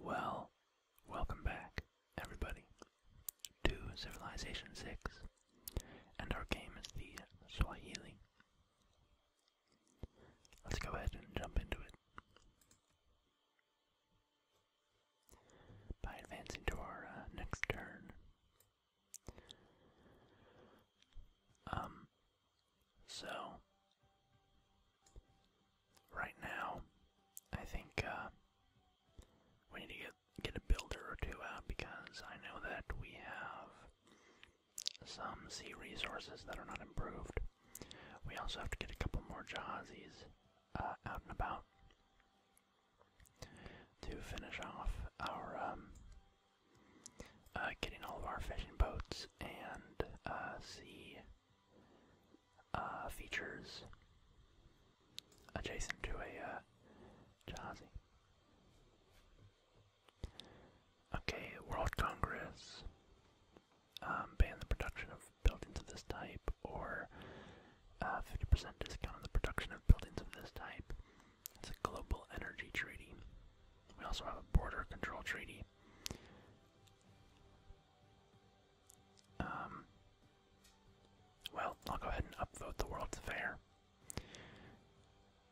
Well, welcome back, everybody, to Civilization 6, and our game is the Swahili. Let's go ahead and jump into it by advancing to our uh, next turn. Um, so, right now, I think uh, we need to get, get a builder or two out because I know that we have some sea resources that are not improved. We also have to get a couple more Jahazis uh, out and about to finish off our um, uh, getting all of our fishing boats and uh, sea uh, features adjacent to a uh, jazzy. Okay, World Congress um, banned the production of built into this type, or 50% uh, discount on the production of buildings of this type. It's a global energy treaty. We also have a border control treaty. Um, well, I'll go ahead and upvote the World's Fair.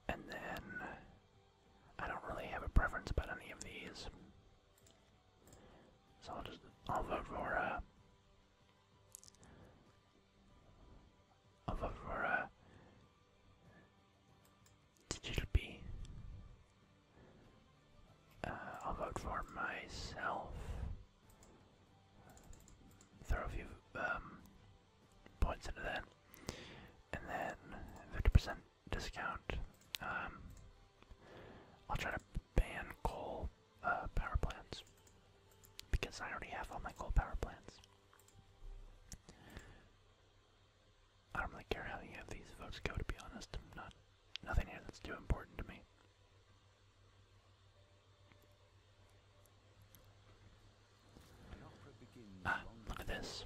And then I don't really have a preference about any of these. So I'll just I'll of Aurora Digital B. Uh, I'll vote for myself. Throw um, points into that. And then 50% discount. Um, I'll try to ban coal uh, power plants. Because I already have all my coal power plants. I don't really care how any of these votes go, to be honest. not, nothing here that's too important to me. Ah, look at this.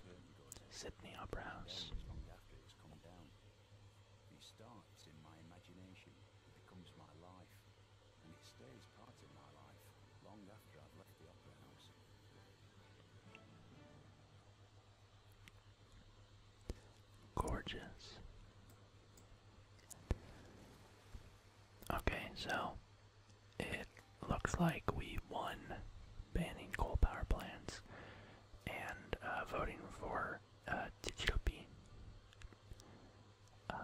Sydney Opera House and it stays part of my life long after I've left the opera house. Gorgeous. Okay, so it looks like we won banning coal power plants and uh, voting for uh, um,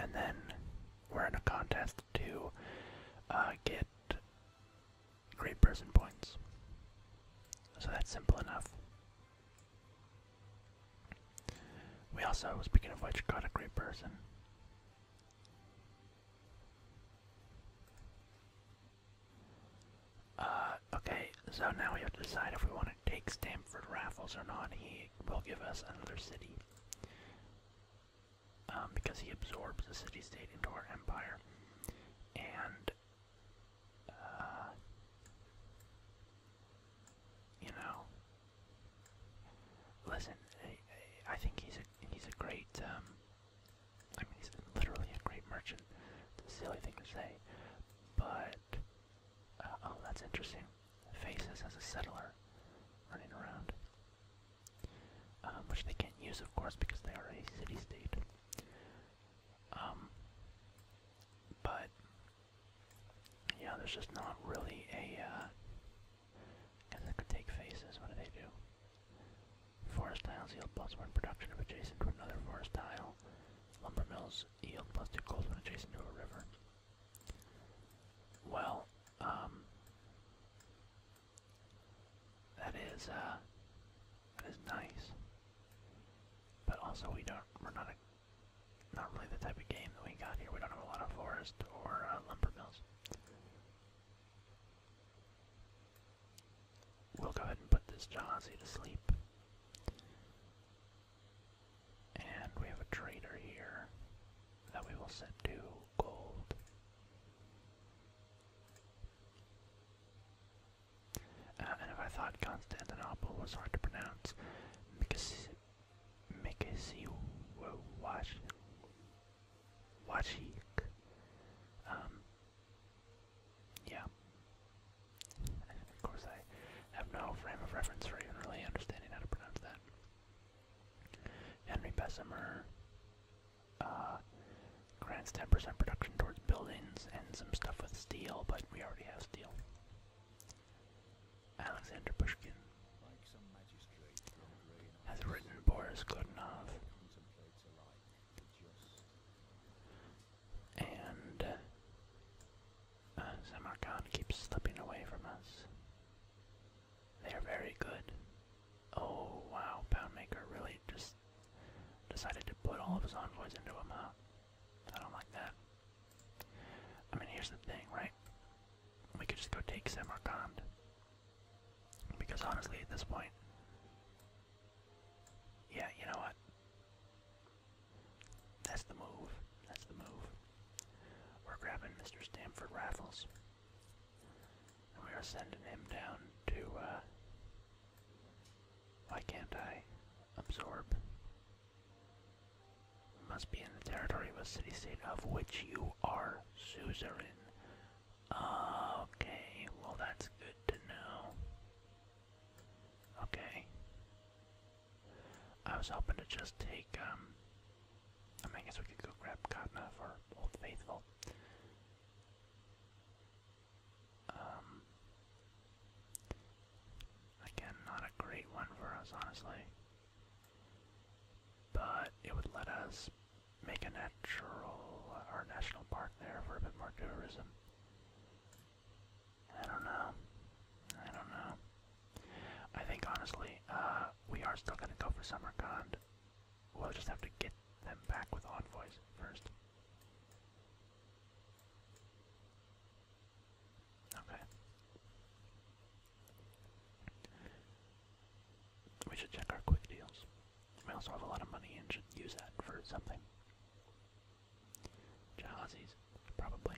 and then we're in a contest to uh, get great person points. So that's simple enough. We also, speaking of which, got a great person. Uh, okay, so now we have to decide if we want to take Stamford Raffles or not. He will give us another city. Um, because he absorbs the city state into our empire. And, uh, you know, listen, I, think he's a, he's a great, um, I mean, he's literally a great merchant. It's a silly thing to say, but uh, oh, that's interesting. Faces as a settler running around, um, which they can't use, of course, because they are a city-state. Um, but yeah, there's just not really a. Uh, I guess I could take faces. What do they do? Forest tiles yield plus one production of adjacent to another forest tile. Lumber mills yield plastic gold when adjacent to a river. Well, um, that is uh, that is nice, but also we don't we're not not really the type of game that we got here. We don't have a lot of forest or uh, lumber mills. We'll go ahead and put this Jazzy to sleep. And we have a trader here that we will set to gold. Uh, and if I thought Constantinople was hard to pronounce, Mikasiwashik, um, yeah. Of course, I have no frame of reference for even really understanding how to pronounce that. Henry Bessemer uh, grants 10% production towards buildings and some stuff with steel, but we already have steel. Alexander Pushkin has written Boris Godunov and uh, uh keeps slipping away from us. They're very good. Oh wow, Poundmaker really just decided to put all of his envoys into him, huh? I don't like that. I mean, here's the thing, right? We could just go take Samarkand. Because honestly, at this point, yeah, you know what? That's the move. That's the move. We're grabbing Mr. Stamford Raffles. And we are sending him down to, uh, Why can't I absorb? Must be in the territory of a city state of which you are suzerain. Okay, well, that's good to know. Okay. I was hoping to just take, um, I guess we could go grab Katna for Old Faithful. Um, again, not a great one for us, honestly. But it would let us make a natural, or national park there for a bit more tourism. I don't know. I don't know. I think honestly, uh, we are still gonna go for Summercond. We'll just have to get them back with envoys first. Okay. We should check our quick deals. We also have a lot of money and should use that for something. Jahazi's probably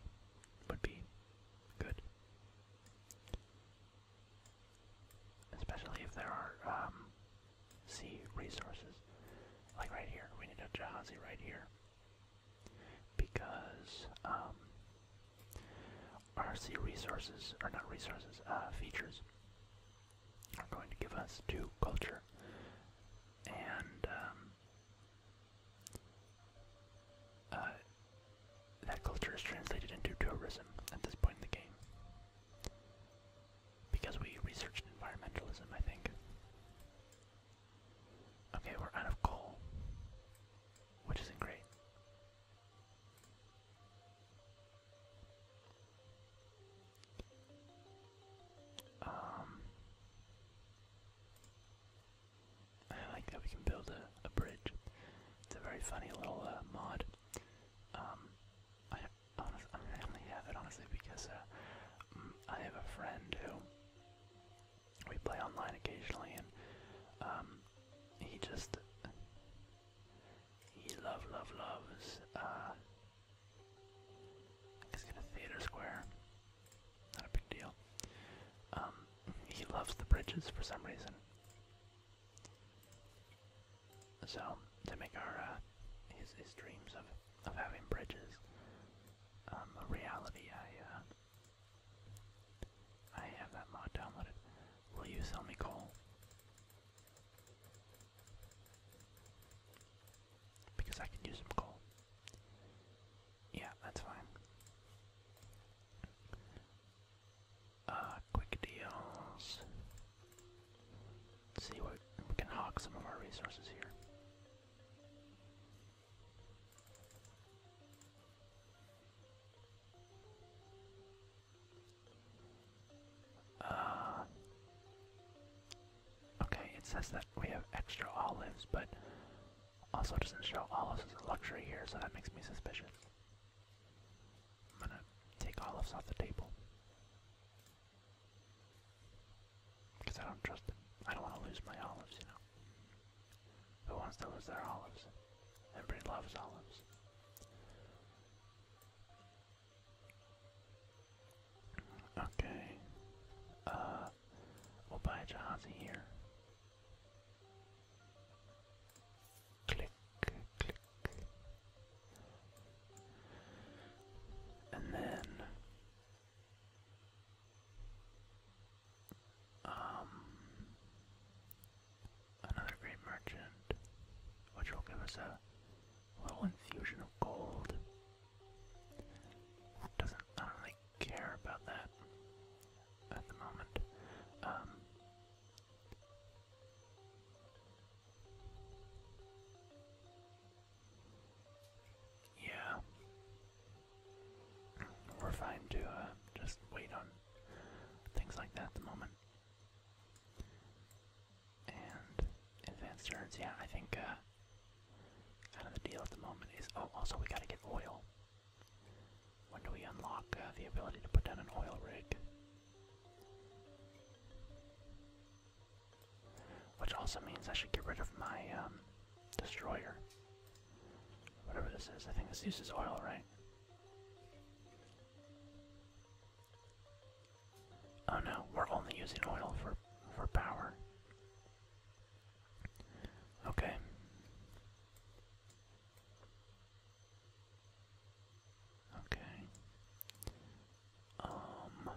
would be good. Especially if there are um, sea resources. Like right here, we need a Jahazi right here. Because um, our sea resources, are not resources, uh, features are going to give us two culture. And um, uh, that culture is translated into tourism at this point in the game. Because we researched environmentalism, I think. Okay, we're out of coal, which isn't great. Um, I like that we can build a, bridge. It's a very funny little uh, mod. Um, I, honest, have it honestly because uh, mm, I have a friend who we play online occasionally, and um, he just he love love loves uh, He's got a theater square. Not a big deal. Um, he loves the bridges for some reason. So to make our uh, his his dreams of of having bridges um, a reality, I uh, I have that mod downloaded. Will you sell me coal? because I can use them coal. Yeah, that's fine. Uh, quick deals. see what we can hog some of our resources here. Uh, Okay, it says that we have extra olives, but also doesn't show olives as a luxury here, so that makes me suspicious. I'm gonna take olives off the table. Because I don't trust them. I don't want to lose my olives, you know. Who wants to lose their olives? Everybody loves olives. Okay. Uh, we'll buy a Jahazi here. Click, click. And then, um, another great merchant, which will give us a little infusion of gold. Doesn't really care about that at the moment. Um, yeah, we're fine to uh, just wait on things like that at the moment. And advanced turns, yeah, I think uh, Kind of the deal at the moment is oh, also we gotta get oil. When do we unlock uh, the ability to put down an oil rig? Which also means I should get rid of my um, destroyer. Whatever this is, I think this uses oil, right? Oh no, we're only using oil for for power. Okay. Okay. Um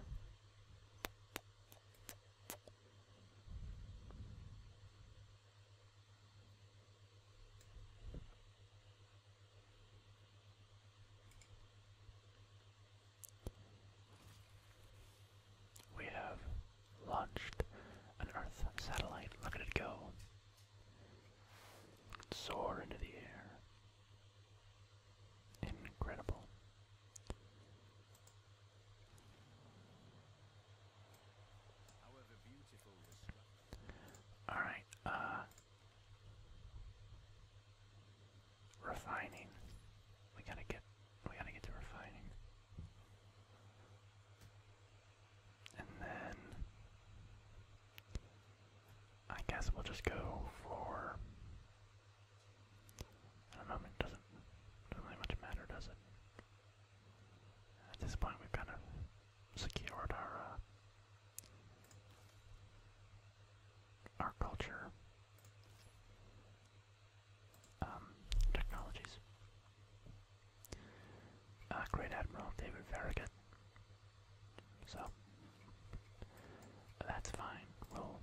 we have launched an Earth satellite. Look at it go. Soar into the air. Incredible. All right. Uh, refining. We got to get we gotta get to refining. And then I guess we'll just go for at the moment doesn't doesn't really much matter, does it? At this point we've kind of secured our uh, our culture um, technologies. Uh, Great Admiral David Farragut. So that's fine. We'll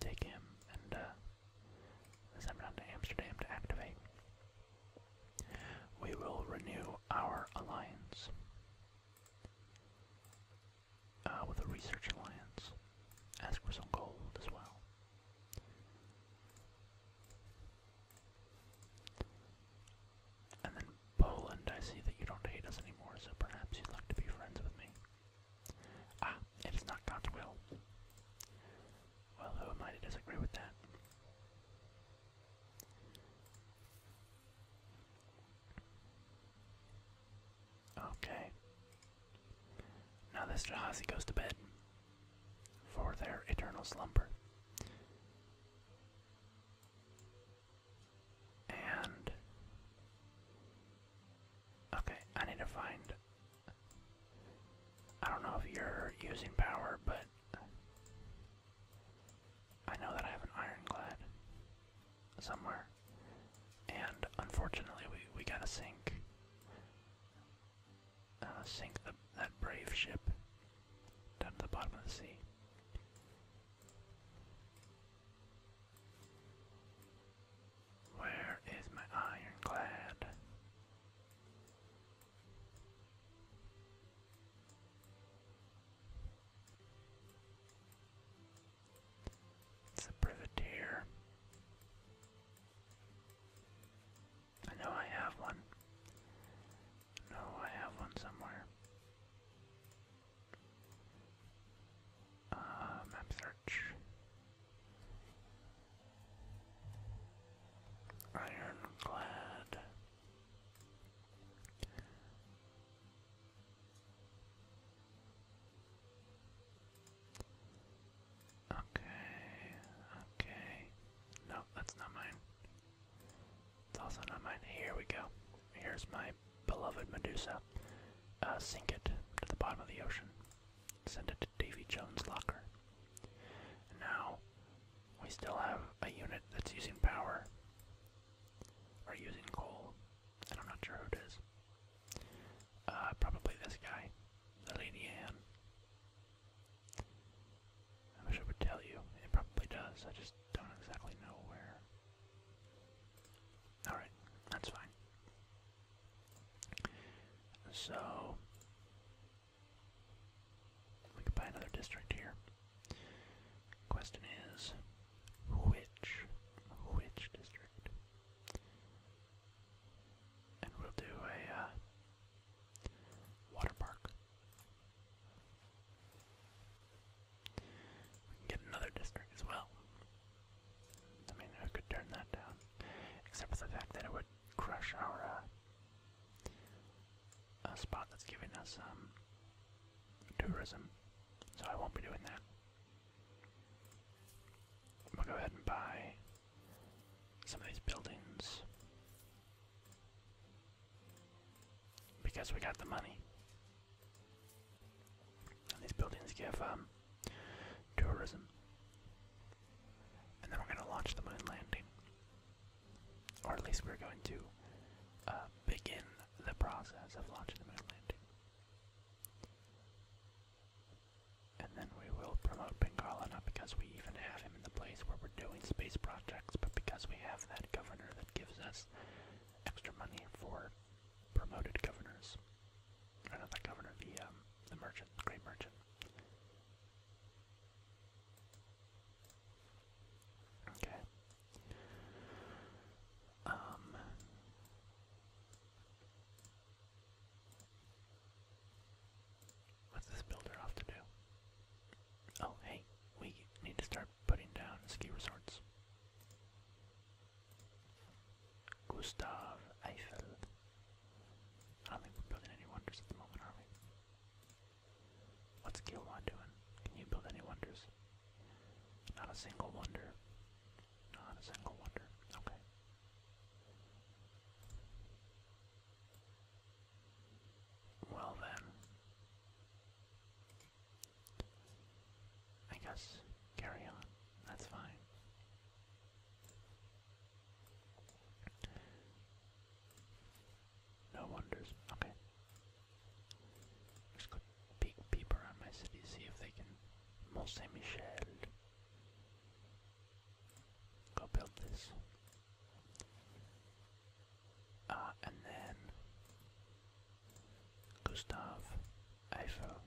take him and uh, send him down to Amsterdam to activate. We will renew our alliance uh, with the research alliance. Ask for some gold as well. And then Poland, I see that you don't hate us anymore, so perhaps you'd like to be friends with me. Ah, it is not God's will. Well, who am I to disagree with that? Okay. Now this Jahazi goes to bed for their eternal slumber. And okay, I need to find. I don't know if you're using power, but I know that I have an ironclad somewhere, and unfortunately, we we got a sink uh, sink that brave ship down to the bottom of the sea. Where is my ironclad? It's a privateer. I know I have one. No, I have one somewhere. Uh, map search. Ironclad. Okay, okay. No, that's not mine. It's also not mine. Here we go. Here's my beloved Medusa. Uh, sink it to the bottom of the ocean. Send it to Davy Jones' locker. And now, we still have a unit that's using power. Or using coal. And I'm not sure who it is. Uh, probably this guy the Lady Anne. I wish I would tell you. It probably does. I just don't exactly know where. Alright, that's fine. So, we can buy another district here. Question is, which, which district? and we'll do a uh, water park. We can get another district as well. I mean, I could turn that down, except for the fact that it would crush our a uh, uh, spot that's giving us um, tourism. So I won't be doing that. We'll go ahead and buy some of these buildings because we got the money. And these buildings give um, tourism. And then we're going to launch the moon landing. Or at least we're going to uh, begin the process of launching the moon landing. And then we will promote Bengala, not because we even have him in the place where we're doing space projects, but because we have that governor that gives us extra money for promoted governors. Or not the governor, the, um, merchant, the great merchant. Okay. Um, What's this builder off to do? Oh, hey, we need to start putting down ski resorts. Gustav Eiffel. I don't think we're building any wonders at the moment, are we? What's Gilwan doing? Can you build any wonders? Not a single wonder. Not a single wonder. Okay. Well then, I guess carry on. That's fine. No wonders. Okay. Just go peek peep around my city, see if they can Mont Saint Michel. Go build this. Ah, and then Gustav Eiffel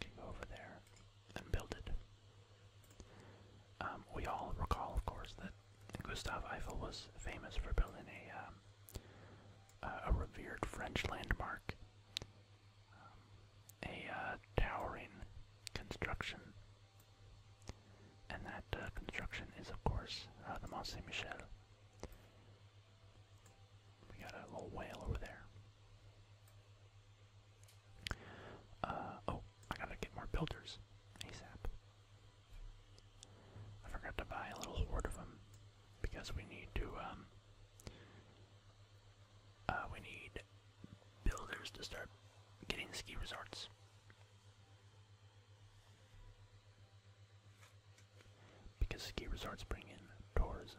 can go over there and build it. Um, we all recall, of course, that Gustav Eiffel was famous for building a, um, a revered French landmark um, a uh, towering construction. And that uh, construction is, of course, uh, the Mont Saint Michel. We got a little whale over there. oh, I gotta get more builders ASAP. I forgot to buy a little horde of them because we need to um, uh, we need builders to start getting ski resorts. Because ski resorts bring in tourism.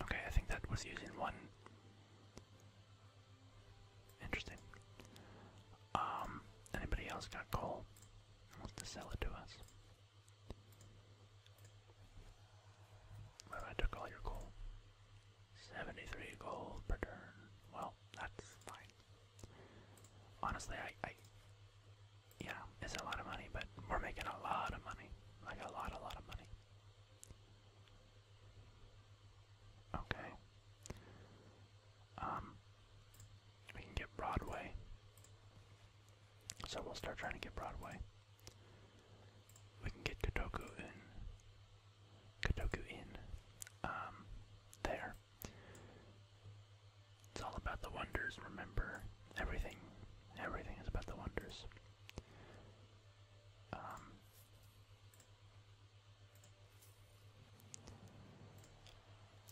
Okay, I think that was using one. Interesting. Um, anybody else got coal? Wants to sell it to us? I took all your coal. 73 gold per turn. Well, that's fine. Honestly, I, yeah, it's a lot of money, but we're making a lot of money. Like a lot, a lot of money. Okay. Um, we can get Broadway. So we'll start trying to get Broadway. We can get Kotoku in. Kotoku in. Um, there. It's all about the wonders, remember? everything, everything is about the wonders. Um,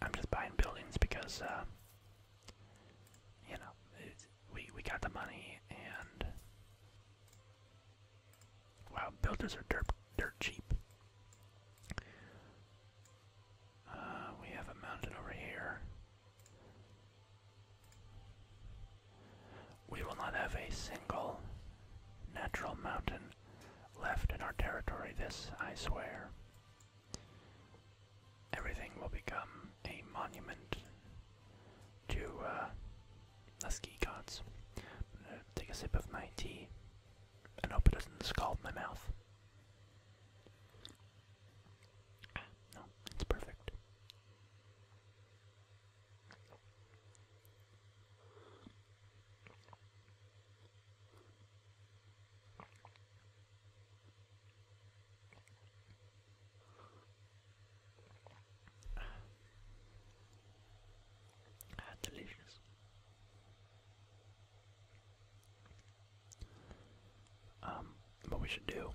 I'm just buying buildings because, uh, you know, we we got the money and wow, builders are dirt dirt cheap. Uh, we have a mountain over here. We will not have a single natural mountain left in our territory, this I swear. Everything will become a monument to uh, the ski gods. take a sip of my tea and hope it doesn't scald my mouth. No, it's perfect. Ah, delicious. Um, what we should do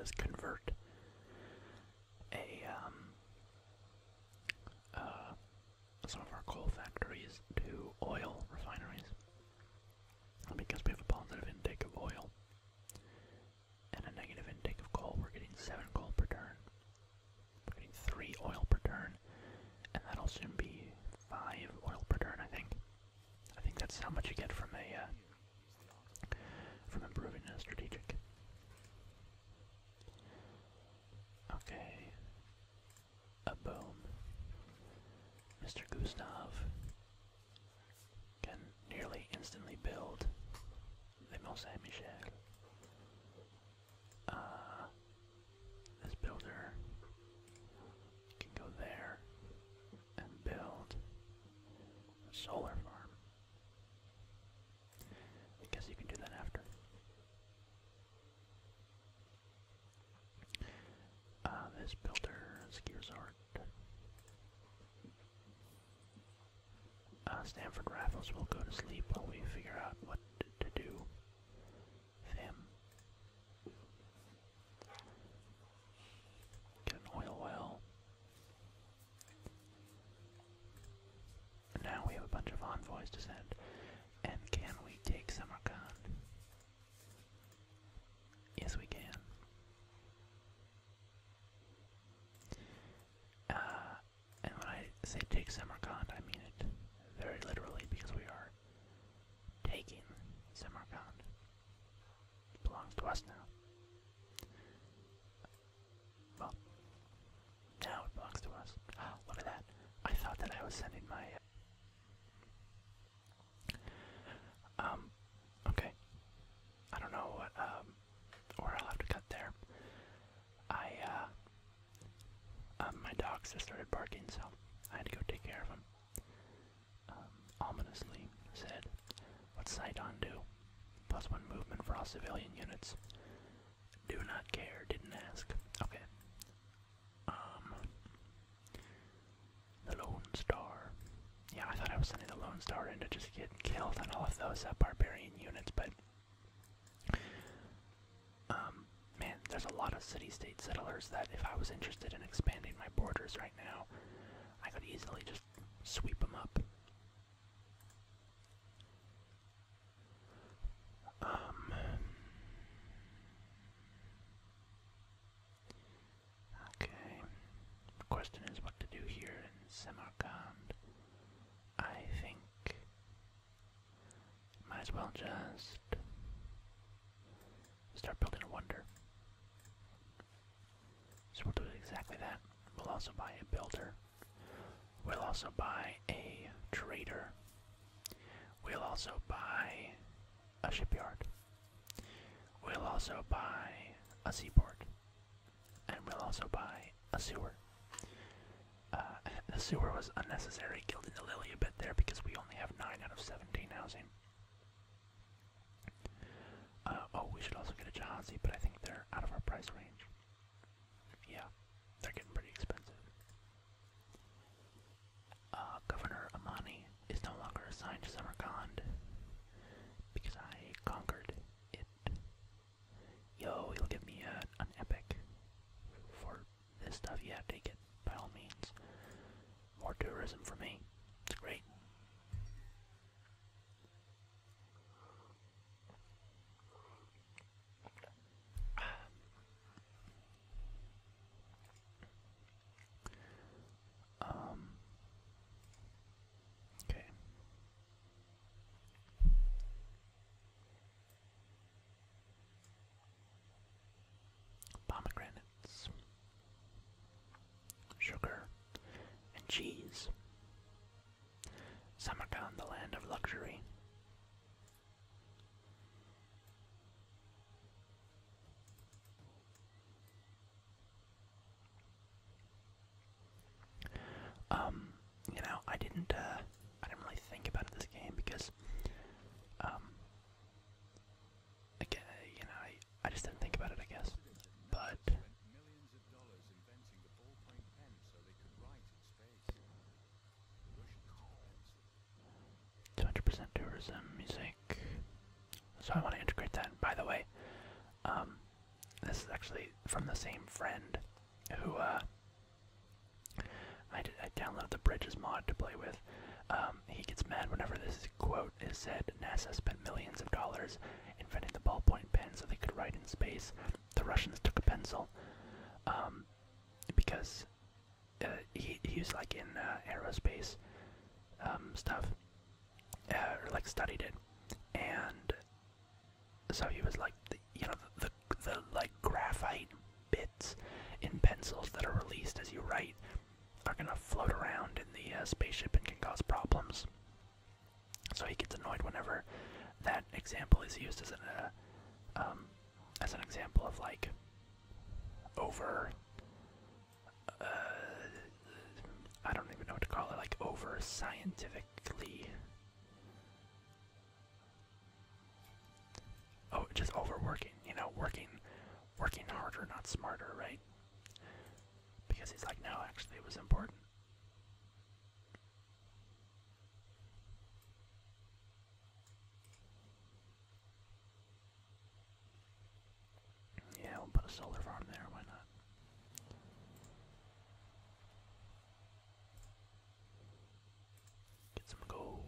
is convert a um, uh, some of our coal factories to oil refineries because we have a positive intake of oil and a negative intake of coal. We're getting seven coal per turn. We're getting three oil per turn, and that'll soon be five oil per turn, I think. I think that's how much you get from a uh, from improving a strategic. Okay. A boom. Mr. Gustav can nearly instantly build the Mont Saint Michel. Uh, this builder can go there and build a solar farm. I guess you can do that after. Uh, this builder, ski resort. Uh, Stanford Raffles will go to sleep while we figure out what to do him. Get an oil well. Now we have a bunch of envoys to send. And can we take Samarkand? Yes, we can. Uh, and when I say take Samarkand, I mean it very literally because we are taking Samarkand. It belongs to us now. Well, now it belongs to us. Ah, look at that. I thought that I was sending my. Uh, um, okay. I don't know what, or um, I'll have to cut there. I, uh, um, my dogs just started barking, so I had to go take care of them. Um, ominously said, What's Saiton do? Plus one movement for all civilian units. Do not care, didn't ask. Okay. Um. The Lone Star. Yeah, I thought I was sending the Lone Star into just getting killed on all of those barbarian units, but. Um, man, there's a lot of city state settlers that if I was interested in expanding my borders right now, I could easily just sweep them up. Um, okay. The question is what to do here in Samarkand. I think might as well just start building a wonder. So we'll do exactly that. We'll also buy a builder. We'll also buy a trader. We'll also buy a shipyard. We'll also buy a seaport. And we'll also buy a sewer. Uh, the sewer was unnecessary, gilding the lily a bit there because we only have 9 out of 17 housing. Uh, oh, we should also get a Jahazi, but I think they're out of our price range. Yeah, they're getting pretty expensive. Uh, Governor Amani is no longer assigned to Samarkand because I conquered it. Yo, you'll give me uh, an epic for this stuff. You Yeah, take it by all means. More tourism for me. It's great. Um, okay. Pomegranate sugar, and cheese. Samarkand, the land of luxury. Um, you know, I didn't, uh, I didn't really think about this game because, um, again, you know, I, I just didn't think about it, I guess. But two hundred percent tourism music. So I want to integrate that. by the way, um, this is actually from the same friend who uh, I, I downloaded the bridges mod to play with. Um, he gets mad whenever this is quote wrote said NASA spent millions of dollars inventing the ballpoint pen so they could write in space. The Russians took a pencil um, because uh, he, was like in uh, aerospace um, stuff, uh, like studied it, and so he was like, the, you know, the, the like graphite bits in pencils that are released as you write are gonna float around in the uh, spaceship and can cause problems. So he gets annoyed whenever that example is used as an uh, um, as an example of like over. Uh, I don't even know what to call it. Like over scientifically. Oh, just overworking. You know, working, working harder, not smarter, right? Because he's like, no, actually, it was important. Yeah, we'll put a solar farm there, why not? Get some gold.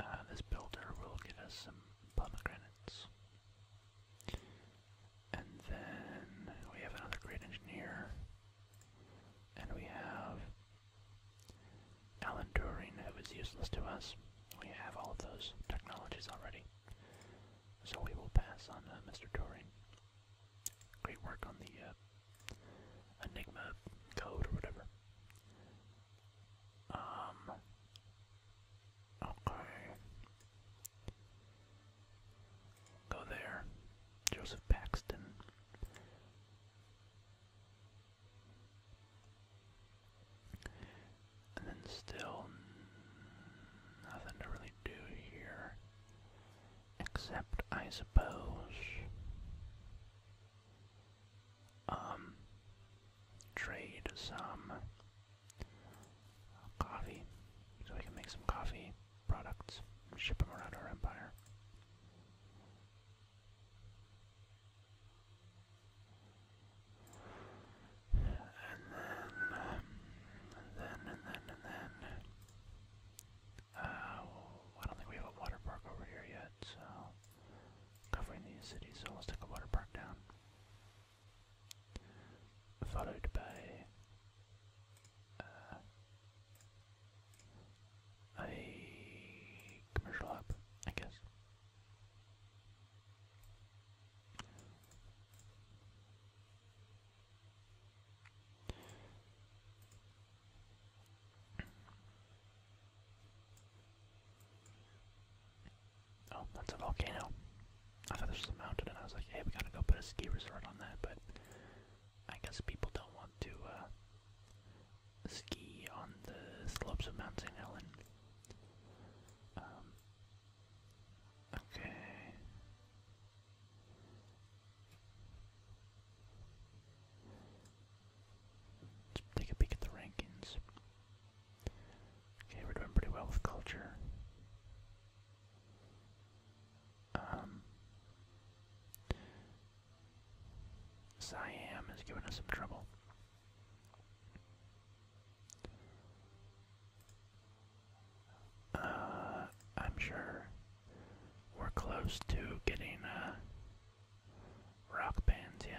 Uh, this builder will give us some pomegranates. And then we have another great engineer. And we have Alan Turing, was useless to us. We have all of those technologies already. So we will pass on uh, Mr. Turing. Great work on the uh, Enigma code or whatever. Um. Okay. Go there. Joseph Paxton. And then still nothing to really do here. Except I suppose. Um trade some coffee so we can make some coffee products and ship them around our empire. And then, and then, and then, and then, uh, I don't think we have a water park over here yet, so covering these cities, so let's take a water park down followed by uh, a commercial app, I guess. Oh, that's a volcano. I thought this was a mountain, and I was like, hey, we gotta go put a ski resort on that, but I guess people don't want to uh, ski on the slopes of Mount St. Helen. Um, okay. Let's take a peek at the rankings. Okay, we're doing pretty well with culture. Um, Siam has given us some trouble. Uh, I'm sure we're close to getting uh, rock bands, yeah.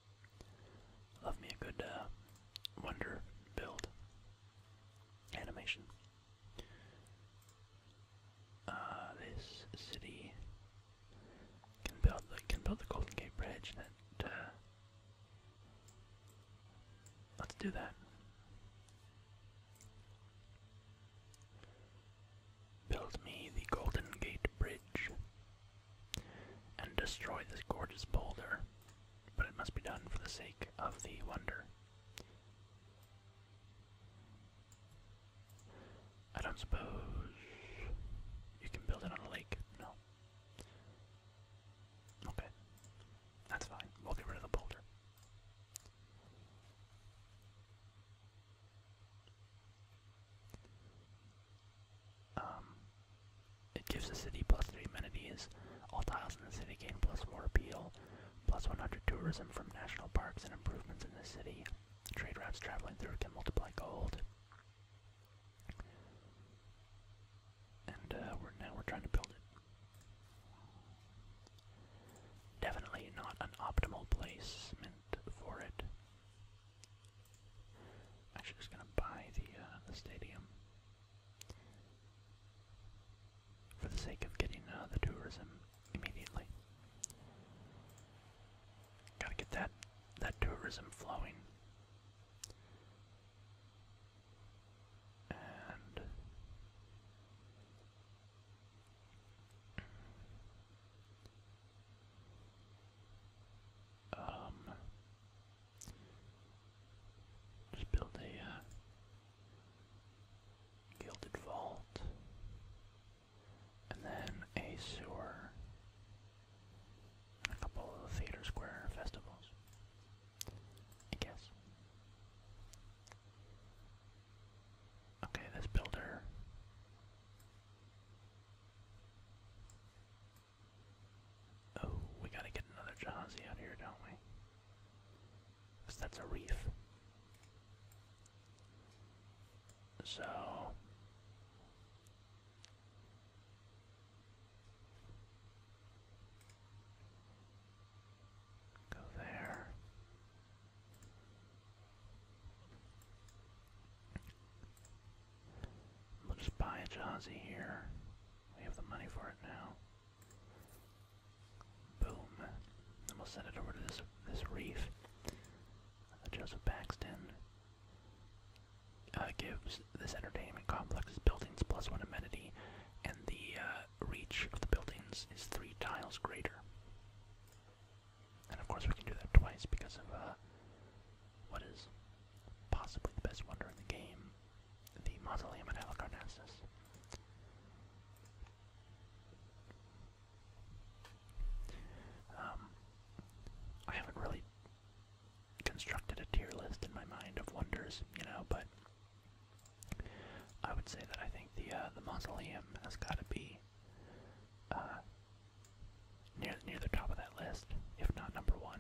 Love me a good uh, wonder build animation. Uh, this city can build can build the Golden Gate Bridge, uh, let's do that. Build me the Golden Gate Bridge and destroy this gorgeous boulder but it must be done for the sake of the wonder. I don't suppose you can build it on a lake. No. Okay. That's fine. We'll get rid of the boulder. Um, it gives the city plus 3 amenities, all tiles in the city gain plus 4 appeal, plus 100 tourism from national parks and improvements in the city. Trade routes traveling through can multiply gold. And uh, we're now we're trying to build it. Definitely not an optimal placement for it. Actually, just gonna buy the uh, the stadium for the sake of getting uh, the tourism immediately. Gotta get that that tourism flowing. And um just build a uh, gilded vault, and then a sewer, a couple of theater square festivals. I guess. Okay, this builder Oh, we gotta get another Jazzy out here, don't we? that's a reef. So. Go there. We'll just buy a Jazzy here. We have the money for it now. Boom. Then we'll send it over to this this reef. Uh, Joseph Baxton uh, gives this entertainment complex buildings plus one amenity, and the uh, reach of the buildings is three tiles greater. And of course, we can do that twice because of uh, what is possibly the best wonder in the game the mausoleum at Halicarnassus. Um, I haven't really constructed a tier list in my mind of wonders, you know, but I would say that I think the uh, the mausoleum has got to be uh, near near the top of that list, if not number one.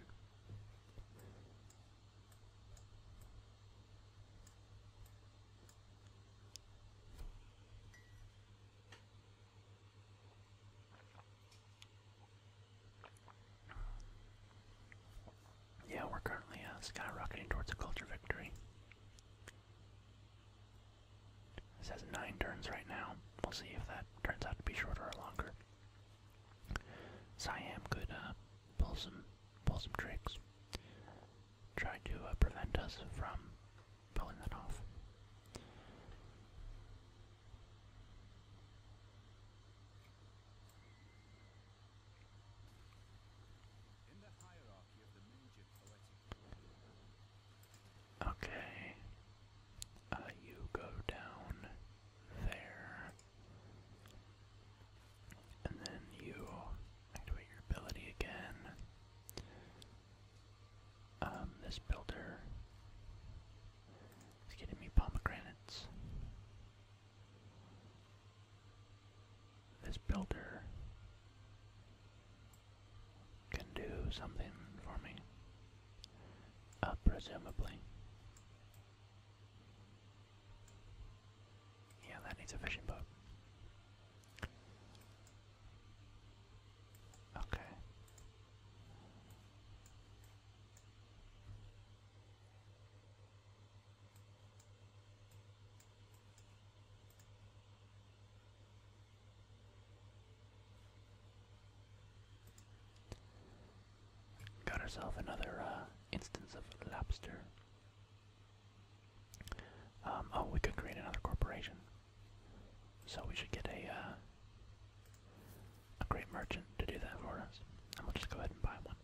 Yeah, we're currently uh, skyrocketing towards a culture victory. This has nine turns right now. We'll see if that turns out to be shorter or longer. Siam could uh, pull some pull some tricks, try to uh, prevent us from pulling that off. Okay. Uh, you go down there. And then you activate your ability again. Um, this builder is getting me pomegranates. This builder can do something for me. presumably. Yeah, that needs a fishing boat. Okay. Got ourselves another uh, instance of lobster. Um, oh, we could create another corporation. So we should get a uh, a great merchant to do that for us, and we'll just go ahead and buy one.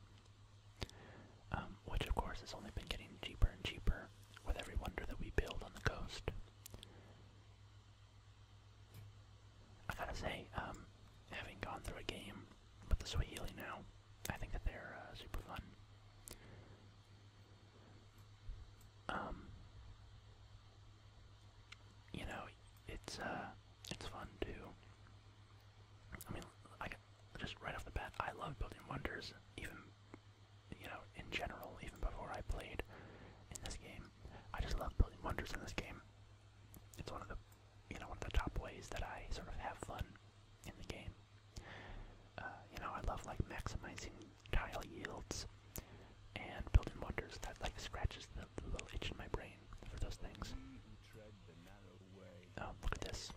Um, which of course has only been getting cheaper and cheaper with every wonder that we build on the coast. I gotta say, um, having gone through a game but the Swahili now. I think that they're uh, super fun. Um, you know, it's uh, it's fun too. I mean, I just right off the bat, I love building wonders, even you know, in general, even before I played in this game. I just love building wonders in this game. It's one of the you know, one of the top ways that I sort of have fun in the game. Uh, you know, I love like maximizing tile yields and building wonders that like scratches the, little itch in my brain for those things. Um, look at this.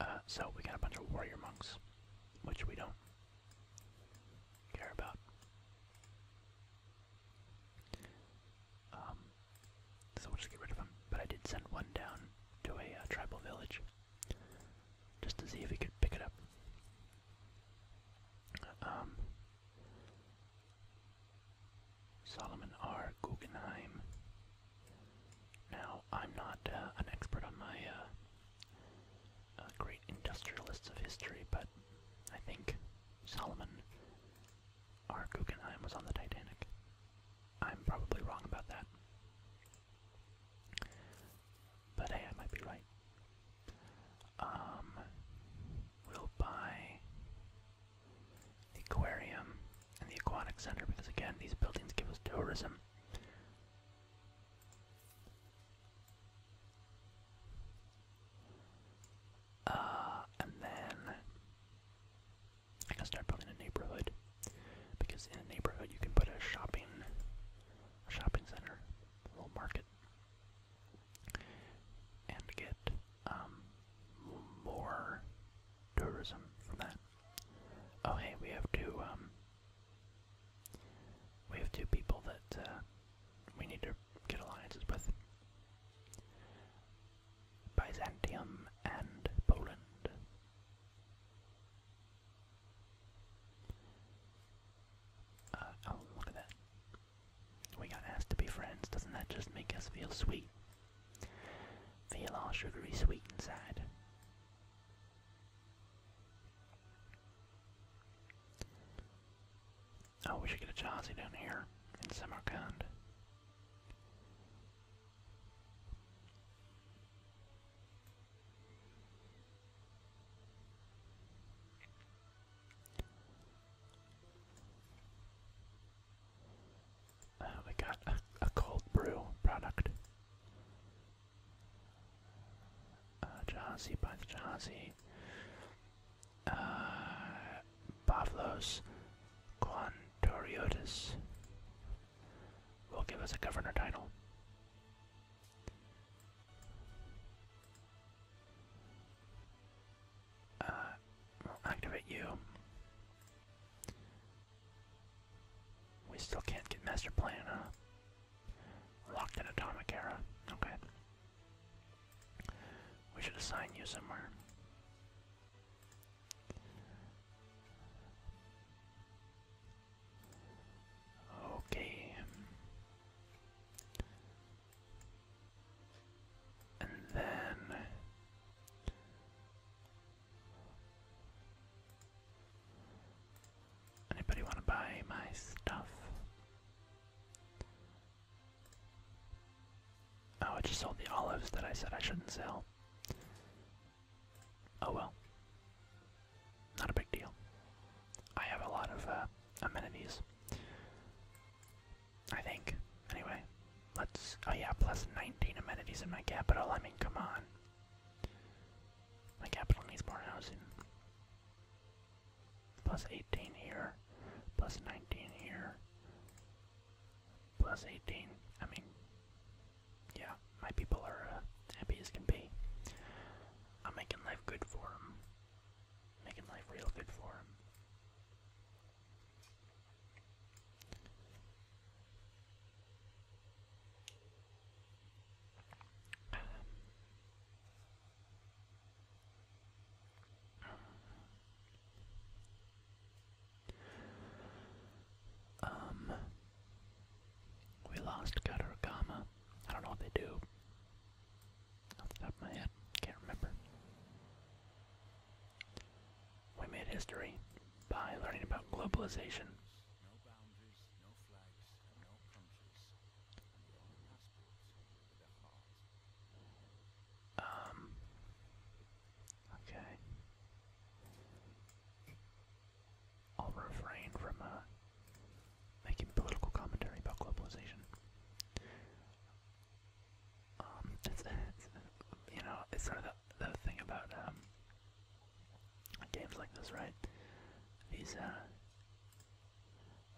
Uh, so we got a bunch of warrior monks, which we don't care about. Um, so we'll just get rid of him. But I did send one down to a uh, tribal village just to see if he could pick it up. Um, Solomon R. Guggenheim. Now, I'm not uh, an expert on my uh, uh, great industrialists of history, but I think Solomon R. Guggenheim was on the Titanic. I'm probably wrong about that. But hey, I might be right. Um, we'll buy the aquarium and the aquatic center because again, these buildings give us tourism. Uh, and then I can start building a neighborhood because in a neighborhood you can put a shopping, shopping center, a little market and get um, more tourism from that. Oh, hey, we have two. Um, we have two people that uh, we need to get alliances with: Byzantium and Poland. Uh, oh, look at that. We got asked to be friends. Doesn't that just make us feel sweet? Feel all sugary sweet inside. Oh, we should get a Chansey down here in Samarkand. Uh, we got a, cold brew product. Uh, by the Jahazi. Uh, will give us a governor title. Uh, activate you. We still can't get Master Plan, huh? Locked in Atomic Era. Okay. We should assign you somewhere. Okay. And then anybody want to buy my stuff? Oh, I just sold the olives that I said I shouldn't sell. Oh well. Not a big deal. I have a lot of uh, amenities. I think. Anyway, let's. Oh, yeah, plus 19 amenities in my capital. I mean, come on. My capital needs more housing. Plus 18 here. Plus 19 here. Plus 18. I mean, yeah, my people are uh, happy as can be. I'm making life good for them. Making life real good for him. Um, um we lost Gutter I don't know what they do. Off the top of my head, can't remember. We made history by learning about globalization. Um. Okay. I'll refrain from uh, making political commentary about globalization. Um, it's, it's you know, it's sort of the, the thing about um, games like this, right? These, uh,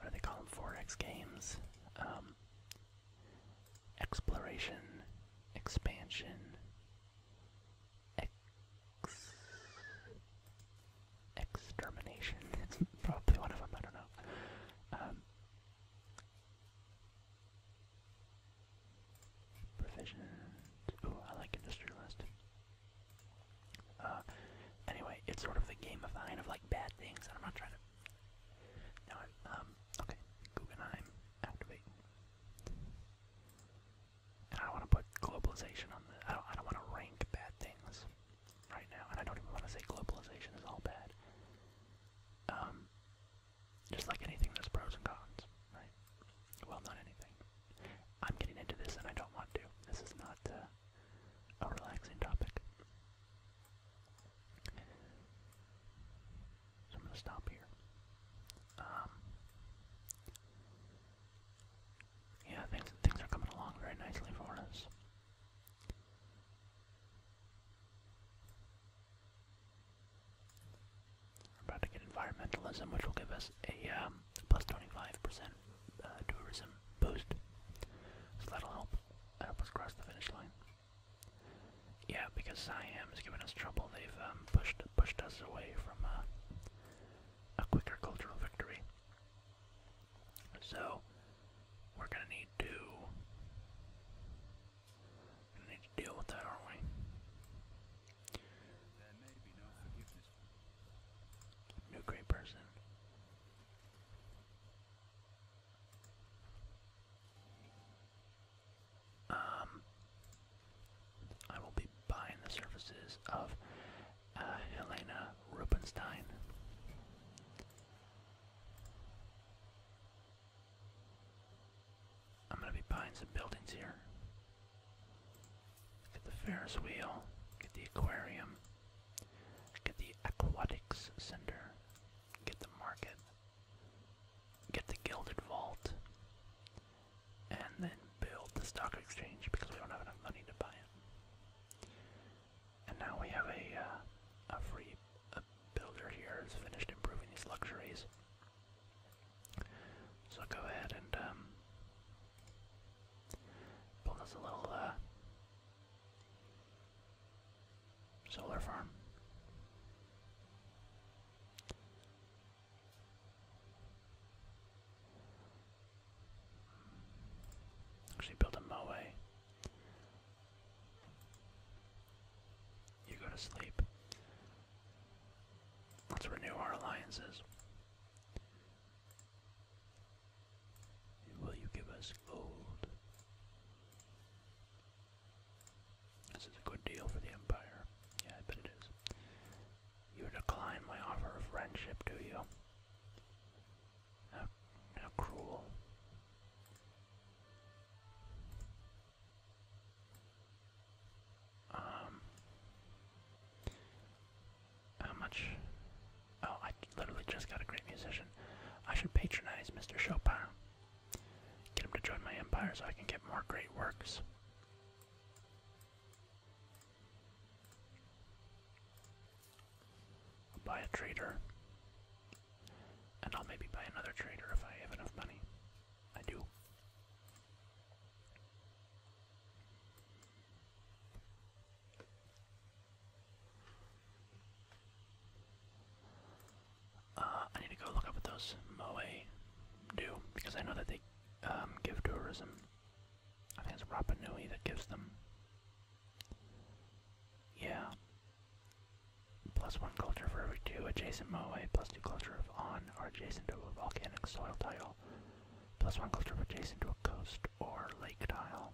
what do they call them? 4X games. Um, exploration, expansion, ex extermination. It's probably one of them. I don't know. Um, Provisions. Ooh, I like industrialist. Uh, anyway, it's sort of the gamifying of like bad things, I'm not trying to. No, um, okay, Guggenheim, activate. And I don't want to put globalization on the. I don't. I don't want to rank bad things right now, and I don't even want to say globalization is all bad. Um, just like anything, there's pros and cons, right? Well, not anything. I'm getting into this, and I don't want to. This is not uh, a relaxing topic. So I'm gonna stop here. Um, yeah, things things are coming along very nicely for us. We're about to get environmentalism, which will give us a um, plus 25% uh, tourism boost. So that'll help help us cross the finish line. Yeah, because Siam is giving us trouble. They've um, pushed pushed us away from uh, a quicker cultural victory. So we're gonna need to need to deal with that, aren't we? New great person. Um, I will be buying the services of uh, Helena Rubinstein. I'm gonna be buying some buildings here. Get the Ferris wheel, get the aquarium, get the aquatics center, get the market, get the gilded vault, and then build the stock exchange because we don't have enough money to buy it. And now we have a uh, a free builder here who's finished improving these luxuries. So go ahead and um, build us a little uh, solar farm. Actually, build a moe. You go to sleep. Let's renew our alliances. Will you give us gold? This is a good deal for the Empire. Yeah, I bet it is. You decline my offer of friendship, do you? How, how cruel. Um, how much? Oh, I literally just got a great musician. I should patronize Mr. Chopin. Get him to join my empire so I can get more great works. buy a trader. And I'll maybe buy another trader if I have enough money. I do. Uh, I need to go look up what those Moe do, because I know that they um, give tourism. I think it's Rapa Nui that gives them. Yeah, Plus one culture for every two adjacent moa. plus two culture of on or adjacent to a volcanic soil tile, plus one culture of adjacent to a coast or lake tile.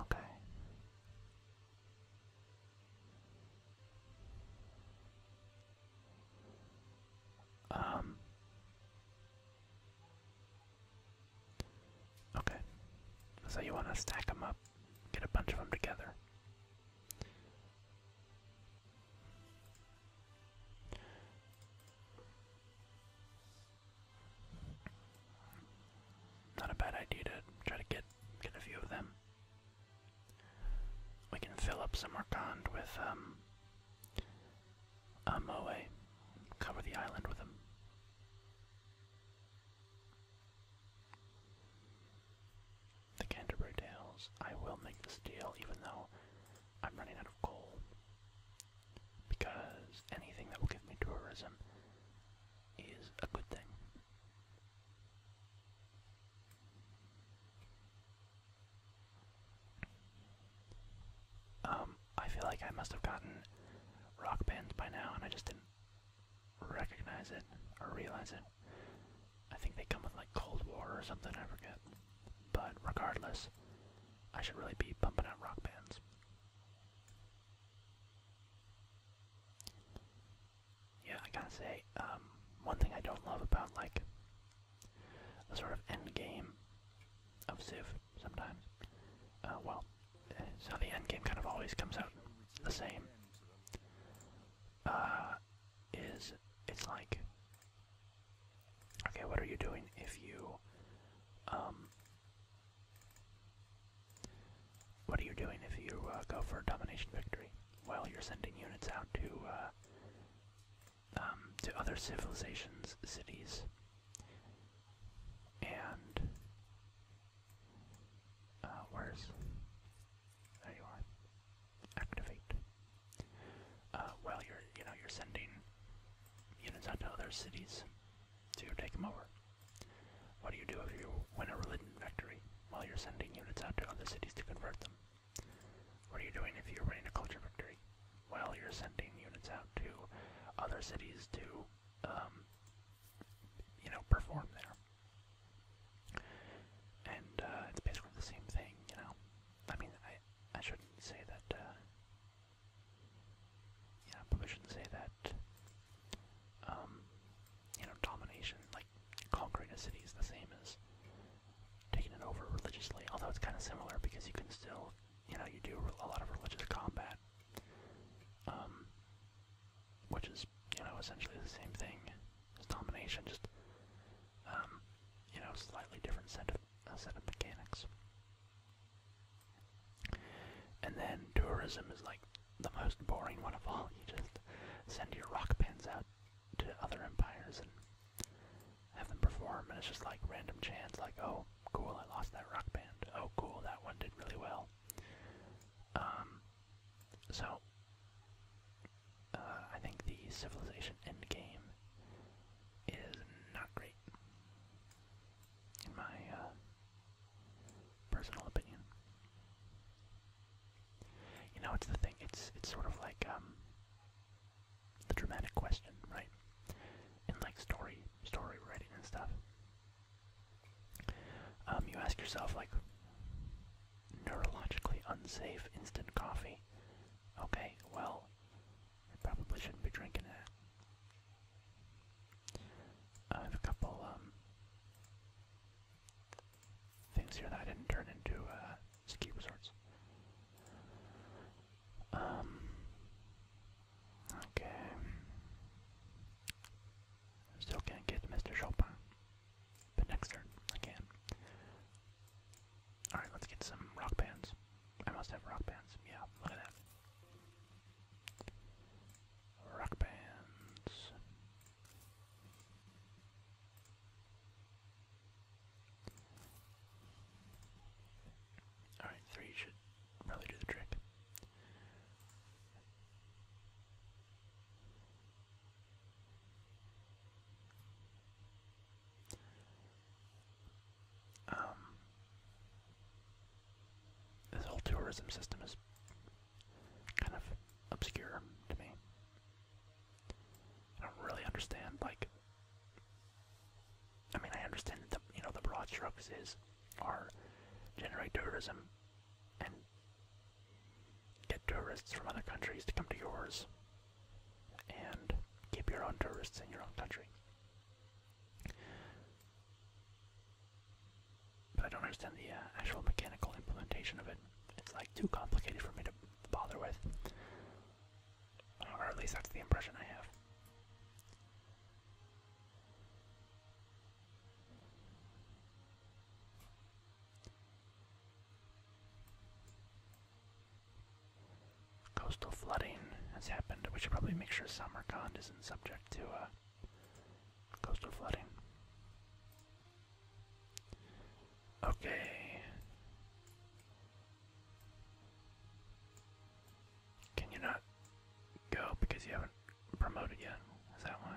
Okay. Um Okay. So you want to stack them up, get a bunch of them together. Not a bad idea to try to get get a few of them. We can fill up some Arcand with um a uh, Moe. Cover the island with them. The Canterbury Tales. I will make this deal even though I'm running out of coal. Because anything that will give me tourism is a good thing. Um, I feel like I must have gotten rock bands by now and I just didn't recognize it or realize it. I think they come with like Cold War or something, I forget. But regardless, I should really be pumping out rock bands. Yeah, I gotta say, um, one thing I don't love about like the sort of end game of Civ sometimes, uh, well, so the end game kind of always comes out the same. Uh, is it's like, okay, what are you doing if you, um, what are you doing if you uh, go for a domination victory? Well, you're sending units out to uh, um, to other civilizations, cities, and uh, where's. There you are. Activate. Uh, well, you're, you know, you're sending units out to other cities to take them over. What do you do if you win a religion victory? Well, you're sending units out to other cities to convert them. What are you doing if you're winning a culture victory? Well, you're sending units out to other cities to um, you know, perform there. And uh, it's basically the same thing, you know. I mean, I I shouldn't say that. Uh, yeah, probably shouldn't say that. Um, you know, domination, like conquering a city, is the same as taking it over religiously. Although it's kind of similar because you can still, you know, you do a lot of religious combat. Um, which is you know essentially the same thing as domination, just um, you know slightly different uh, set of mechanics. And then tourism is like the most boring one of all. You just send your rock bands out to other empires and have them perform, and it's just like random chance, like oh cool, I lost that rock band. Oh cool, that one did really well. Um, so, uh, I think the Civilization end game is not great, in my uh, personal opinion. You know, it's the thing. It's it's sort of like um, the dramatic question, right? In like story story writing and stuff. Um, you ask yourself, like, neurologically unsafe instant coffee. Okay, well, I probably shouldn't be drinking it. I have a couple um, things here that didn't turn into uh, ski resorts. Um, okay. Still can't get Mr. Chopin. But next turn, I can. Alright, let's get some rock bands. I must have rock bands. Yeah, look at that. Rock bands. Alright, three should probably do the trick. Um, this whole tourism system is kind of obscure to me. I don't really understand. Like, I mean, I understand that the, you know the broad strokes is are generate tourism and get tourists from other countries to come to yours and keep your own tourists in your own country. But I don't understand the uh, actual mechanical implementation of it. It's like too complicated for me to bother with. Or at least that's the impression I have. Coastal flooding has happened. We should probably make sure Samarkand isn't subject to uh, coastal flooding. Okay. Can you not go because you haven't promoted yet? Is that why?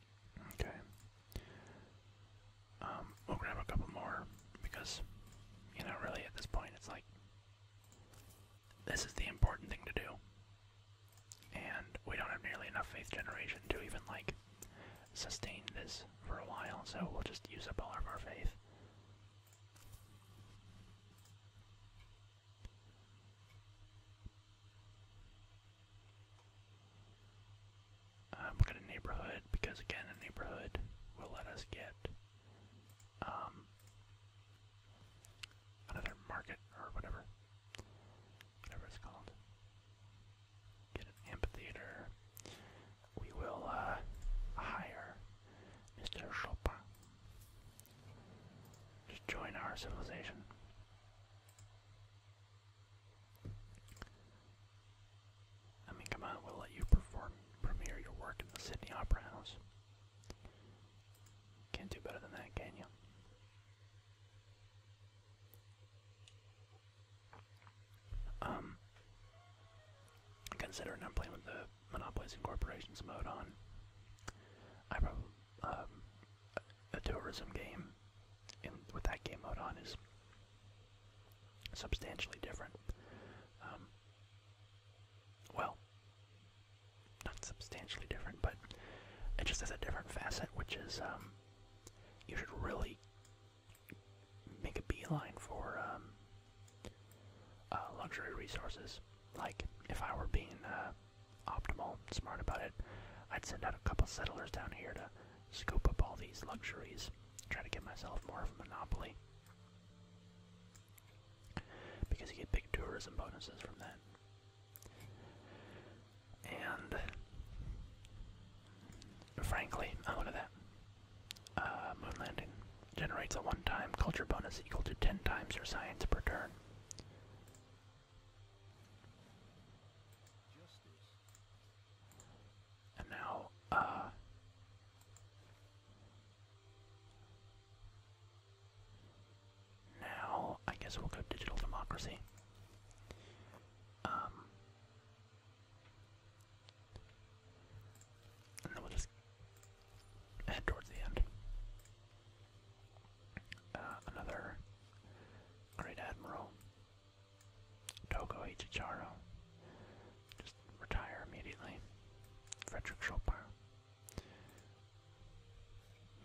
Okay. Um, we'll grab a couple more because, you know, really at this point it's like this is the important thing to do. And we don't have nearly enough faith generation to even like sustain this for a while, so we'll just use up all of our faith. Um, we'll get a neighborhood because again, a neighborhood will let us get um, another market or whatever, whatever it's called. Get an amphitheater. We will uh, hire Mr. Chopin. Just join our civilization. I mean, come on, we'll let you perform, premiere your work in the Sydney Opera House. Can't do better than that, can you? Um, considering I'm playing with the Monopolizing Corporations mode on, I probably, um, a tourism game in, with that game mode on is substantially different. Um, well, not substantially different, but it just has a different facet, which is um, you should really make a beeline for um, uh, luxury resources. Like, if I were being uh, optimal, smart about it, I'd send out a couple settlers down here to Scope up all these luxuries, try to get myself more of a monopoly. Because you get big tourism bonuses from that. And frankly, I wanted that. Uh, moon landing generates a one-time culture bonus equal to 10 times your science per turn. And now, uh. Now, I guess we'll go digital democracy. Um. And then we'll just head towards the end. Uh, another great admiral. Togo Ichicharo. Just retire immediately. Frederick Chopin.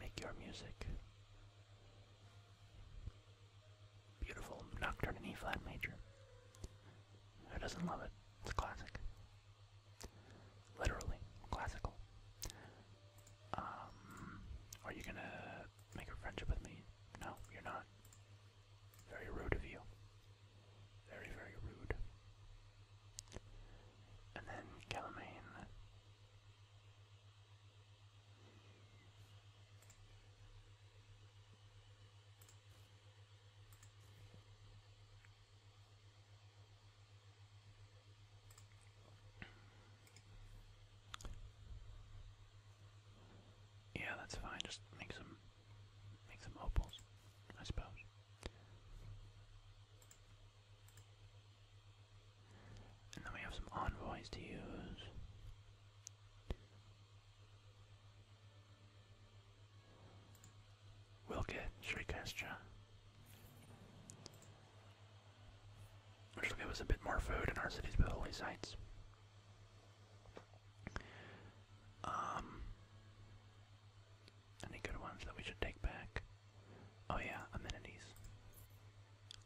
Make your music. Beautiful Nocturne in E flat major. Who doesn't love it? It's a classic. Literally, classical. Um, are you gonna make a friendship with me? No, you're not. Very rude of you. Very, very rude. And then Calamine. Yeah, that's fine. Just make some, make some opals, I suppose. And then we have some envoys to use. We'll get Shrikestra. Which will get us a bit more food in our city's holy sites. Um, any good ones that we should take back? Oh yeah, amenities.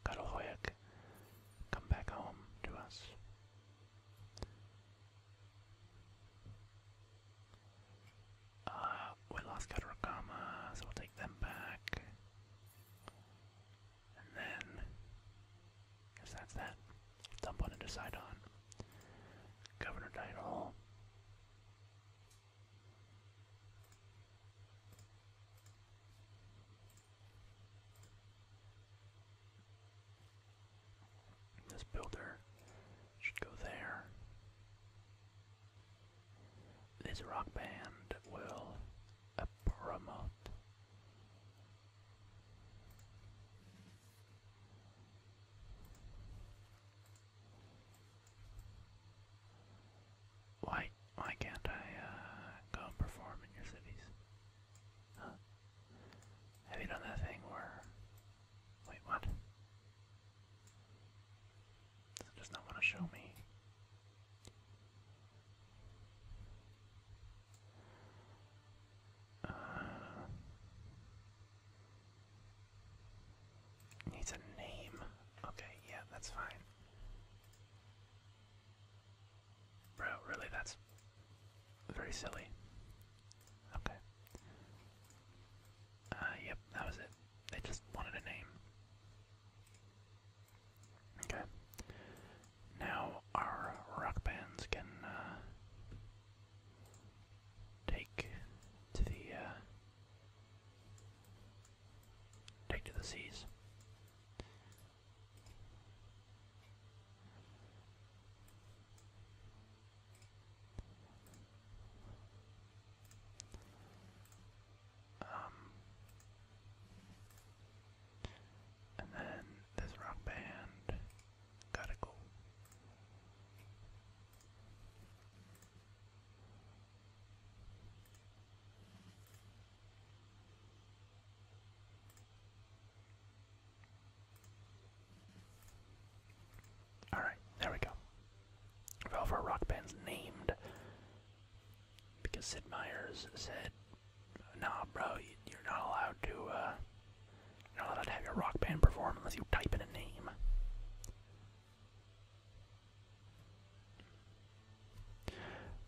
Karolhoek, come back home to us. Uh, we lost Katarokama, so we'll take them back. And then, guess that's that. Dump on into Sidon. Governor title. This builder should go there. This rock band will uh, promote why why can't I uh, go perform in your cities? Have you done that thing where wait what? Does not want to show me? Uh, needs a name. Okay, yeah, that's fine. Bro, really, that's very silly. Okay. Uh, yep, that was it. They just wanted a name. Okay now our rock bands can uh, take to the uh, take to the seas. Um, and then this rock band gotta go. Alright, there we go. Velvet Rock Band's named because Sid Meier's said nah, bro, you're not allowed to, uh, you're not allowed to have your rock band perform unless you type in a name.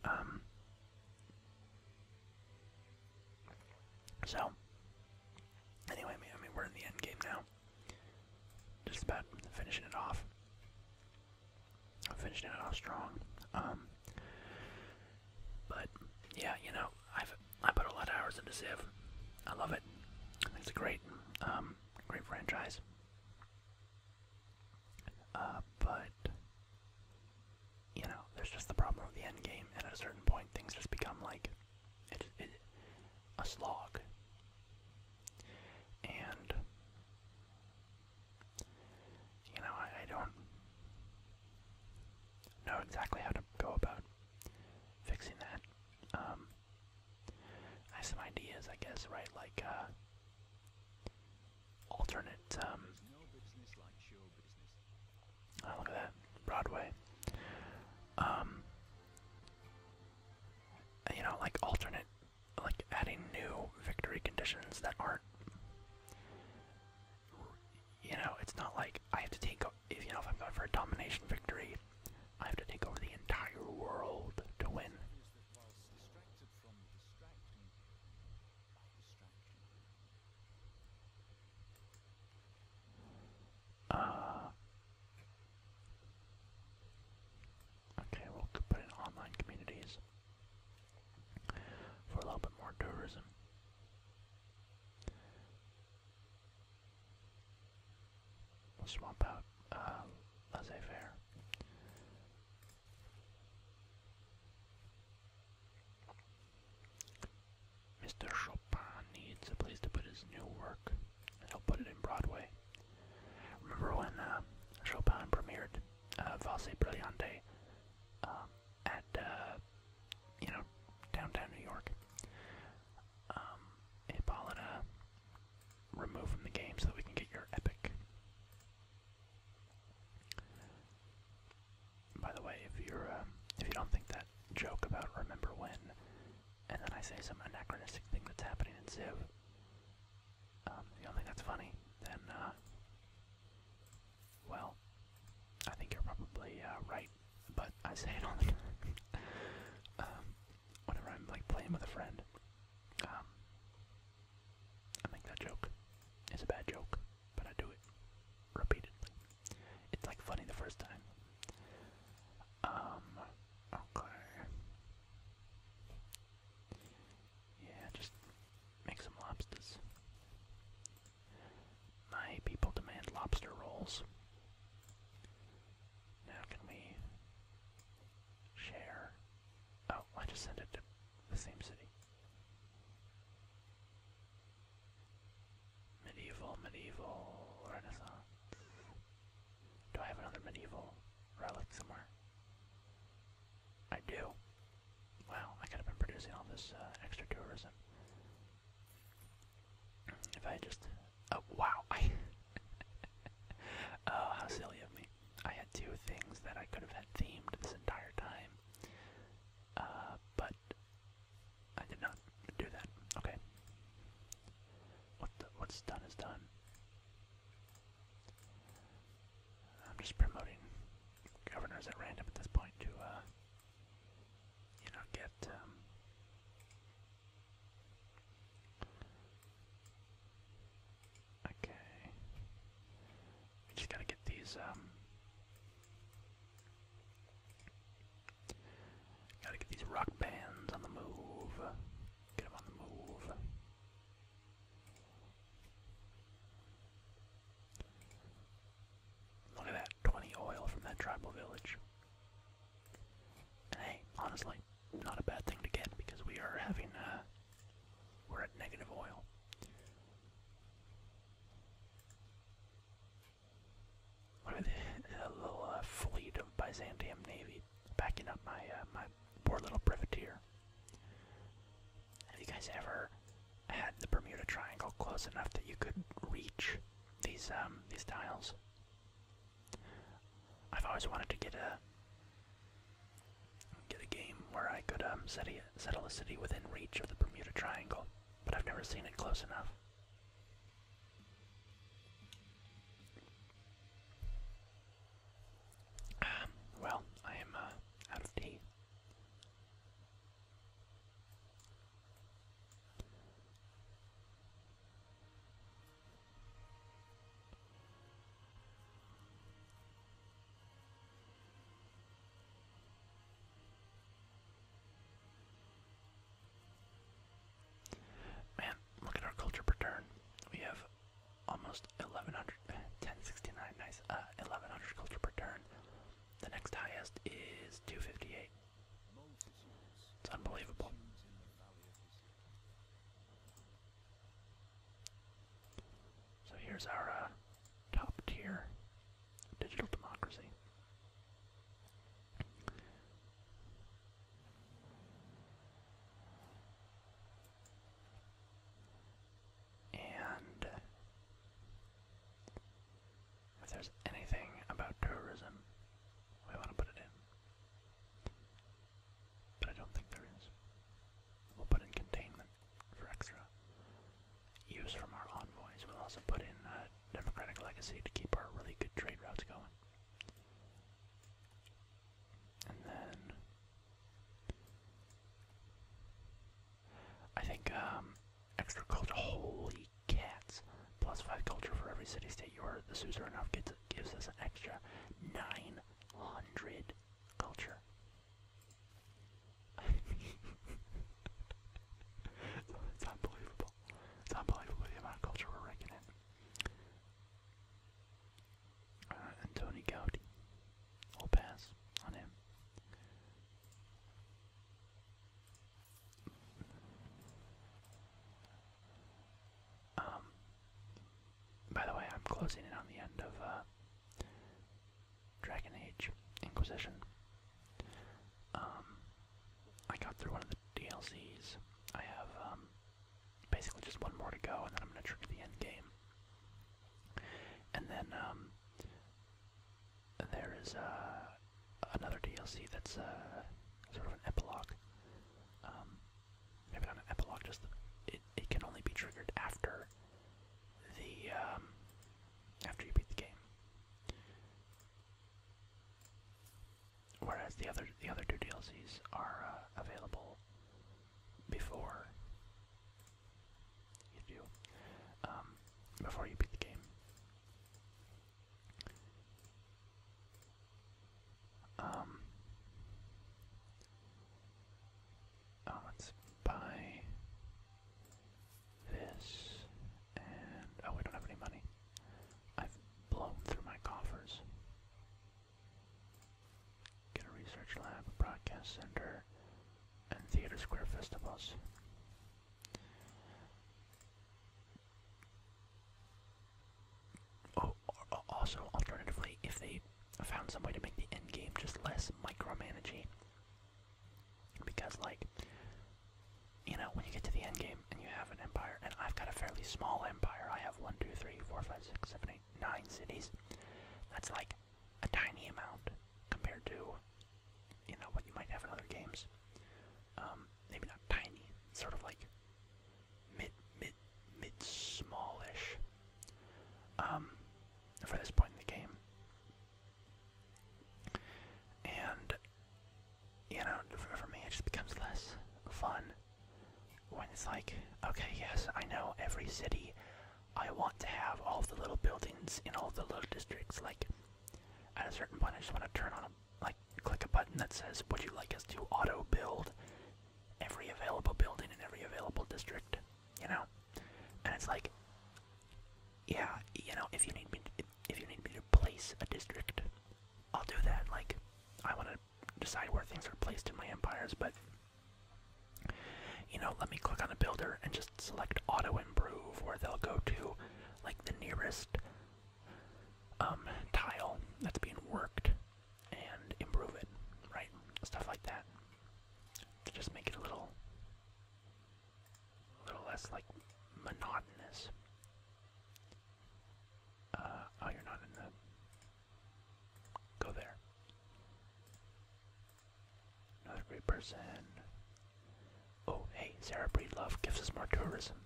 Um, so, anyway, I mean, we're in the end game now. Just about finishing it off. I'm finishing it off strong. Um, but yeah, you know, I've I put a lot of hours into Civ. I love it. It's a great, um, great franchise. Uh, but you know, there's just the problem of the end game, and at a certain point, things just become like it, it a slog. And you know, I, don't know exactly how to go about fixing that. Um, I have some ideas, I guess, right? Like, uh, alternate, um, oh, look at that, Broadway. Um, you know, like alternate, like adding new victory conditions that aren't you know, it's not like I have to take you know if I'm going for a domination victory, I have to take over the entire world to win. Uh, okay, we'll put in online communities for a little bit more tourism we um, laissez-faire. Mr. Chopin needs a place to put his new work, and he'll put it in Broadway. Remember when uh, Chopin premiered uh, Valse Brillante um, at uh, you know, downtown New York. Um, Hippolyta, remove from the game so that we can get your epic. By the way, if you're um, if you don't think that joke about remember when, and then I say some anachronistic thing that's happening in Civ, um, you don't think that's funny, then uh, well, I think you're probably uh, right, but I say it on the time. Um, whenever I'm like playing with a friend, um, I make that joke. It's a bad joke, but I do it repeatedly. It's like funny the first time. Um, okay. Yeah, just make some lobsters. My people demand lobster rolls. Now can we share? Oh, I just sent it to the same city. Medieval, medieval, renaissance. Do I have another medieval relic somewhere? I do. Wow, I could have been producing all this uh, extra tourism. If I just, oh wow, oh how silly of me. I had two things that I could have had themed this entire time, uh, but I did not do that. Okay. What the, what's done is done. I'm just promoting governors at random at this point to, uh, you know, get um, okay. just gotta get these. Um, gotta get these rock bands on the move. Get them on the move. Look at that, 20 oil from that tribal village. hey, honestly, not a bad thing to get because we are having, uh, we're at negative oil. Look at the, little uh, fleet of Byzantium Navy backing up my, uh, my poor little privateer. Have you guys ever had the Bermuda Triangle close enough that you could reach these um, these tiles. I've always wanted to get a get a game where I could um, settle, a city within reach of the Bermuda Triangle, but I've never seen it close enough. Um, well, I am uh, out of tea. Man, look at our culture per turn. We have almost 1100, 1069, nice, uh, 1100 culture per turn. The next highest is 258. It's unbelievable. So here's our uh, top tier digital democracy. And if there's anything about tourism, we want to put it in. But I don't think there is. We'll put in containment for extra. Use from our envoys. We'll also put in uh, democratic legacy to keep our really good trade routes going. And then I think um, extra culture. Holy cats! Plus five culture for every city state you are. The suzerain gives us an extra nine hundred culture. it's unbelievable. It's unbelievable the amount of culture we're raking in. Uh, and Tony Gowdy. on him. Um, by the way, I'm closing it on the end of uh, Dragon Age Inquisition. Um, I got through one of the DLCs. I have um, basically just one more to go, and then I'm going to trigger the end game. And then there is uh, another DLC that's uh, sort of an epilogue. Um, maybe not an epilogue, just it, can only be triggered after the um, after you beat the game. Whereas the other the other two DLCs are uh, available before you um, before you beat the game. Um, oh, let's buy this, and oh, we don't have any money. I've blown through my coffers. Get a research lab, a broadcast center, and theater square festivals. Oh, also, alternatively, if they found some way to make the end game just less micromanaging, because like, you know, when you get to the end game and you have an empire, and I've got a fairly small empire. I have one, two, three, four, five, six, seven, eight, nine cities. That's like a tiny amount compared to you know what you might have in other games. Um, maybe not tiny, sort of like mid mid mid smallish. Um, for this point in the game. And you know, for me, it just becomes less fun when it's like, okay, yes, I know every city. I want to have all the little buildings in all the little districts, like at a certain point, I just want to turn on a like click a button that says, "Would you like us to auto build every available building in every available district?" You know, and it's like, yeah, you know, if you need me, if you need me to place a district, I'll do that. Like, I want to decide where things are placed in my empires, but you know, let me click on a builder and just select auto improve, where they'll go to like the nearest um, tile that's being worked and improve it, right? Stuff like that. To just make it a little, a little less like monotonous. Uh, oh, you're not in the. Go there. Another great person. Oh, hey, Sarah Breedlove gives us more tourism.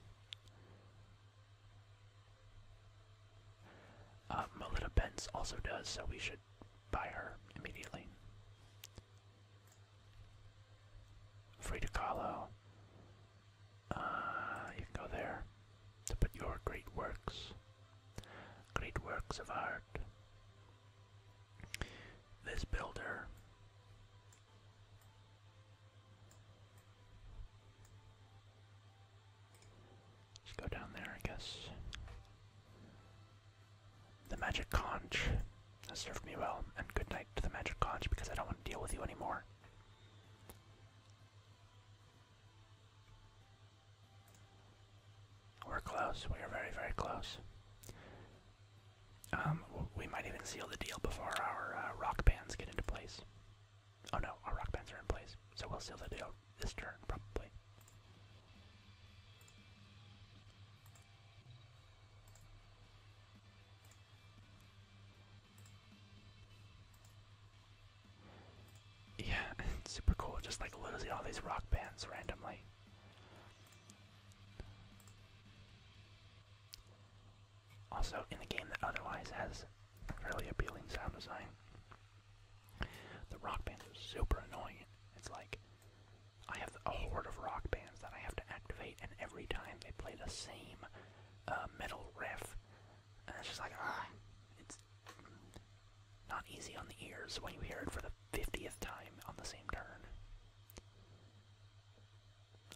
Melitta uh, Melita Benz also does, so we should buy her immediately. Frida Kahlo. Uh, you can go there to put your great works, great works of art. This builder just go down there, I guess. The magic conch has served me well, and good night to the magic conch because I don't want to deal with you anymore. We're close. We are very, very close. Um, we might even seal the deal before our uh, rock bands get into place. Oh no, our rock bands are in place, so we'll seal the deal this turn, probably. Yeah, super cool, just like losing all these rock bands randomly. Also, in a game that otherwise has really appealing sound design, the rock bands are super annoying. It's like I have a horde of rock bands that I have to activate, and every time they play the same uh, metal riff, it's just like ah, it's not easy on the ears when you hear it for the fiftieth time on the same turn.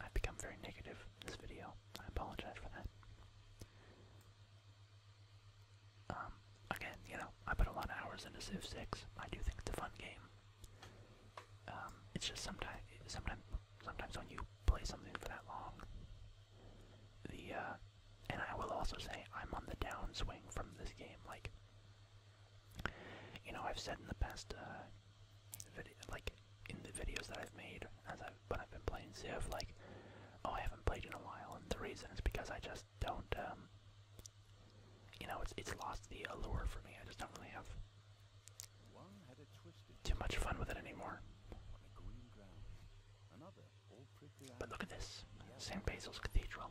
I've become very negative in this video. I apologize for that. Um, again, you know, I put a lot of hours into Civ 6. I do think it's a fun game. Um, it's just sometimes, sometimes, sometimes when you play something for that long, the, uh, and I will also say I'm on the downswing from this game. Like, you know, I've said in the past, uh, like, in the videos that I've made as I've when I've been playing Civ, like, oh, I haven't played in a while, and the reason is because I just don't, um, you know, it's it's lost the allure for me. I just don't really have too much fun with it anymore. But look at this, St. Basil's Cathedral.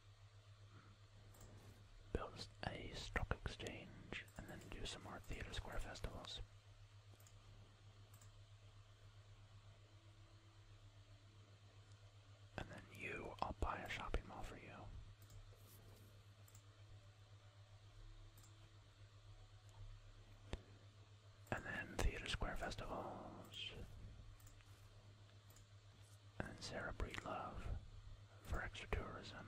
Build a stock exchange and then do some more theater square festivals. And then you, I'll buy a shopping mall for you. And then theater square festivals and Sarah Breedlove for extra tourism.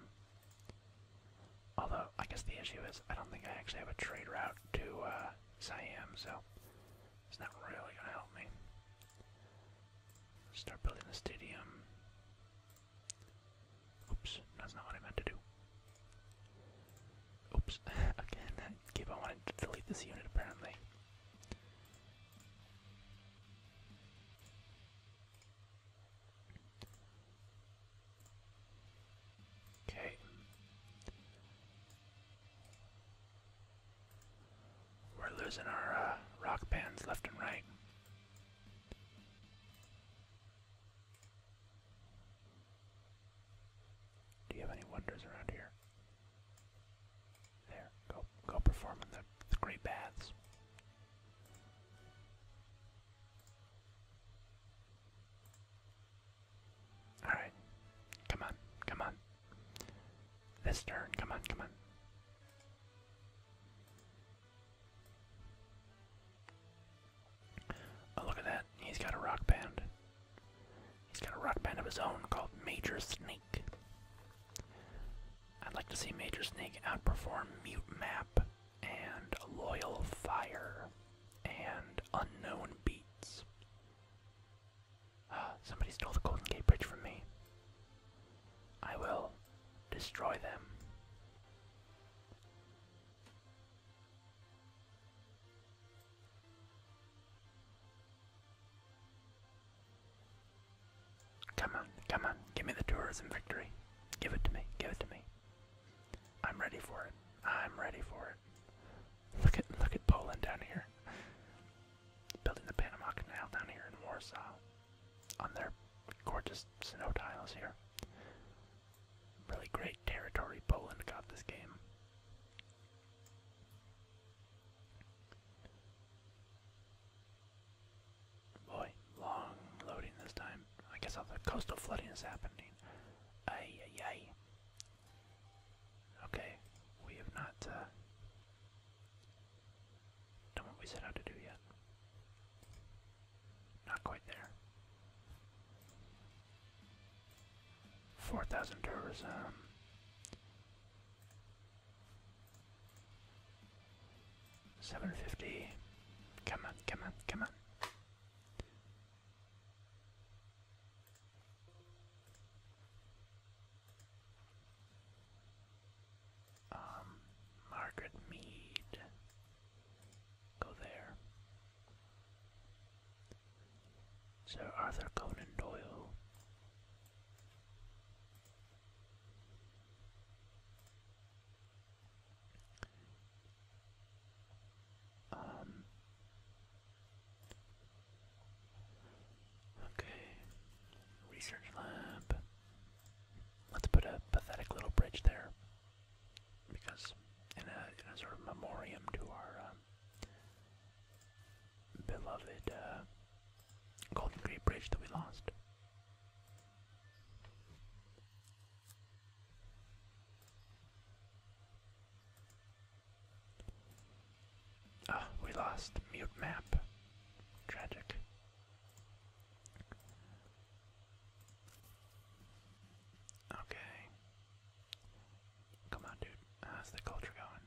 Although, I guess the issue is I don't think I actually have a trade route to uh, Siam, so it's not really going to help me. Start building the stadium. Oops, that's not what I meant to do. Oops, again, I keep I wanted to delete this unit apparently. Okay. We're losing our uh, rock bands left and right. Do you have any wonders around here? There, go, go perform in the great baths. Alright. Come on. Come on. This turn. Come on. Come on. Oh, look at that. He's got a rock band. He's got a rock band of his own called Major Snake. I'd like to see Major Snake outperform Mute Map and Loyal Fire and Unknown Beats. Ah, somebody stole the Golden Gate Bridge from me. I will destroy them. Come on, come on, give me the tourism victory. Give it to me, give it to me. I'm ready for it. I'm ready for it. Look at look at Poland down here. Building the Panama Canal down here in Warsaw. On their gorgeous snow tiles here. Really great territory Poland got this game. Boy, long loading this time. I guess all the coastal flooding is happening. Ay, Okay, we have not uh, done what we set out to do yet. Not quite there. 4,000 tourism. Um, 750. Come on, come on, come on. Um, Margaret Mead. Go there. Sir Arthur Conan Doyle. Um, okay, research lab. Let's put a pathetic little bridge there, because in a, sort of memoriam to our um, beloved uh, Golden Gate Bridge that we lost. Ah, we lost mute map. Tragic. Okay. Come on, dude. How's the culture going?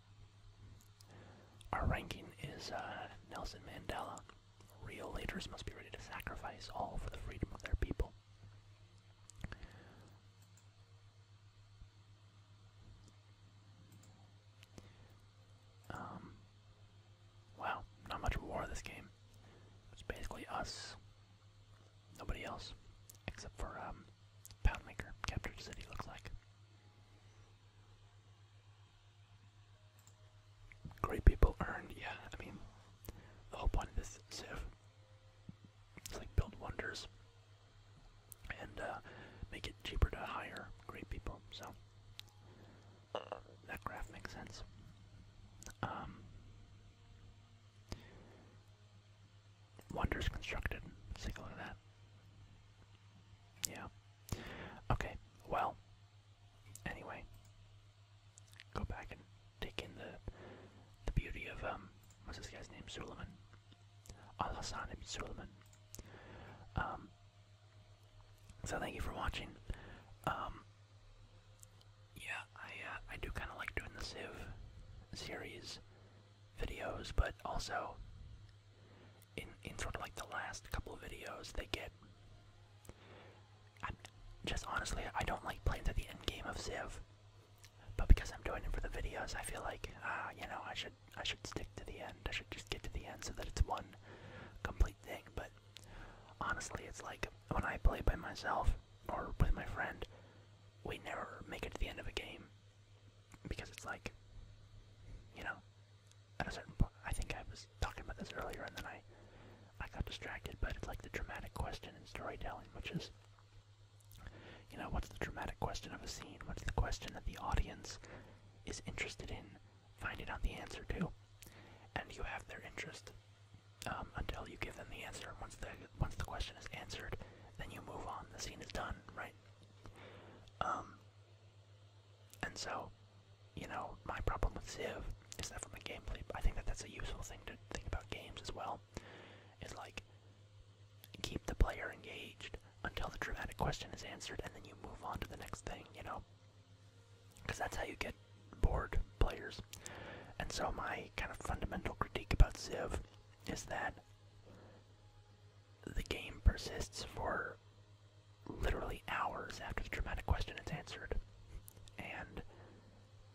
Our ranking is uh, Nelson Mandela. Real leaders must be ready to sacrifice all for the freedom of their people. Um, wow, not much war this game. It's basically us, nobody else, except for um, Poundmaker captured city. Looks like Great people earn, yeah, I mean, the whole point of this Civ is like build wonders and uh, make it cheaper to hire great people, so that graph makes sense. Um, wonders constructed, let's take a look at that. Yeah. Okay, well, anyway, go back and take in the the beauty of, um, what's this guy's name? Suleiman. Al-Hassan ibn Um, so thank you for watching. Um, yeah, I, uh, I do kind of like doing the sieve series videos, but also in in sort of like the last couple of videos they get. just honestly, I don't like playing to the end game of Civ, but because I'm doing it for the videos, I feel like ah, you know, I should I should stick to the end. I should just get to the end so that it's one complete thing. But honestly, it's like when I play by myself or with my friend, we never make it to the end of a game because it's like, you know, at a certain point, I think I was talking about this earlier, and then I, I got distracted. But it's like the dramatic question in storytelling, which is, you know, what's the dramatic question of a scene? What's the question that the audience is interested in finding out the answer to? And you have their interest um, until you give them the answer. Once the once the question is answered, then you move on. The scene is done, right? Um, and so, you know, my problem with Civ is that from the gameplay, I think that that's a useful thing to think about games as well, is like keep the player engaged until the dramatic question is answered, and then you move on to the next thing, you know, because that's how you get bored players. And so, my kind of fundamental critique about Civ is that the game persists for literally hours after the dramatic question is answered, and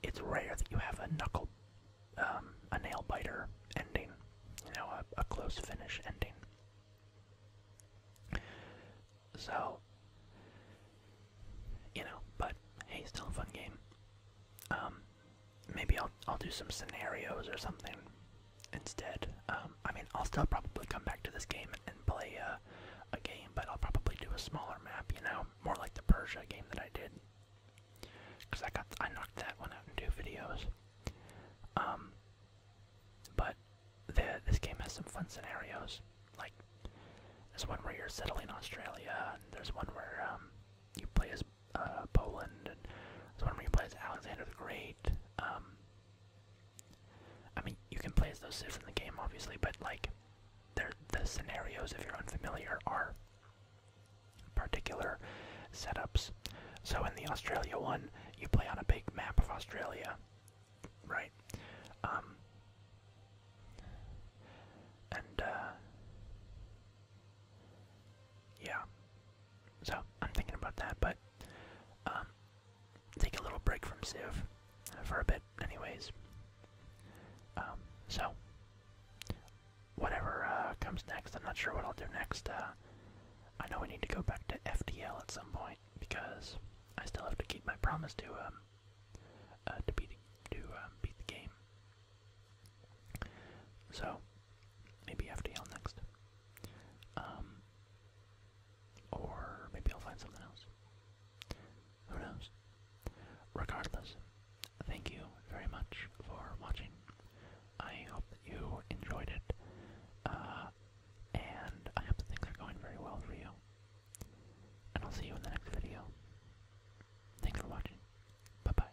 it's rare that you have a knuckle, um, a nail biter ending, you know, a, close finish ending. So, you know, but hey, still a fun game. Um, maybe I'll I'll do some scenarios or something instead. Um, I mean, I'll still probably come back to this game and, play uh, a game, but I'll probably do a smaller map, you know, more like the Persia game that I did, because I got I knocked that one out in two videos. Um, but this game has some fun scenarios, like there's one where you're settling Australia, and there's one where um, you play as uh, Poland, and there's one where you play as Alexander the Great. Um, I mean, you can play as those civs in the game, obviously, but like, they're, the scenarios, if you're unfamiliar, are particular setups. So in the Australia one, you play on a big map of Australia, right? Um, and uh, yeah, so I'm thinking about that, but um, take a little break from Civ for a bit, anyways. Um, so, whatever uh, comes next, I'm not sure what I'll do next. Uh, I know we need to go back to FDL at some point because I still have to keep my promise to um, uh, to beat to beat the game. So, maybe FDL next. Or maybe I'll find something else. Who knows? Regardless, thank you very much for watching. I hope that you enjoyed it. Uh, and I hope that things are going very well for you. And I'll see you in the next video. Thanks for watching. Bye bye.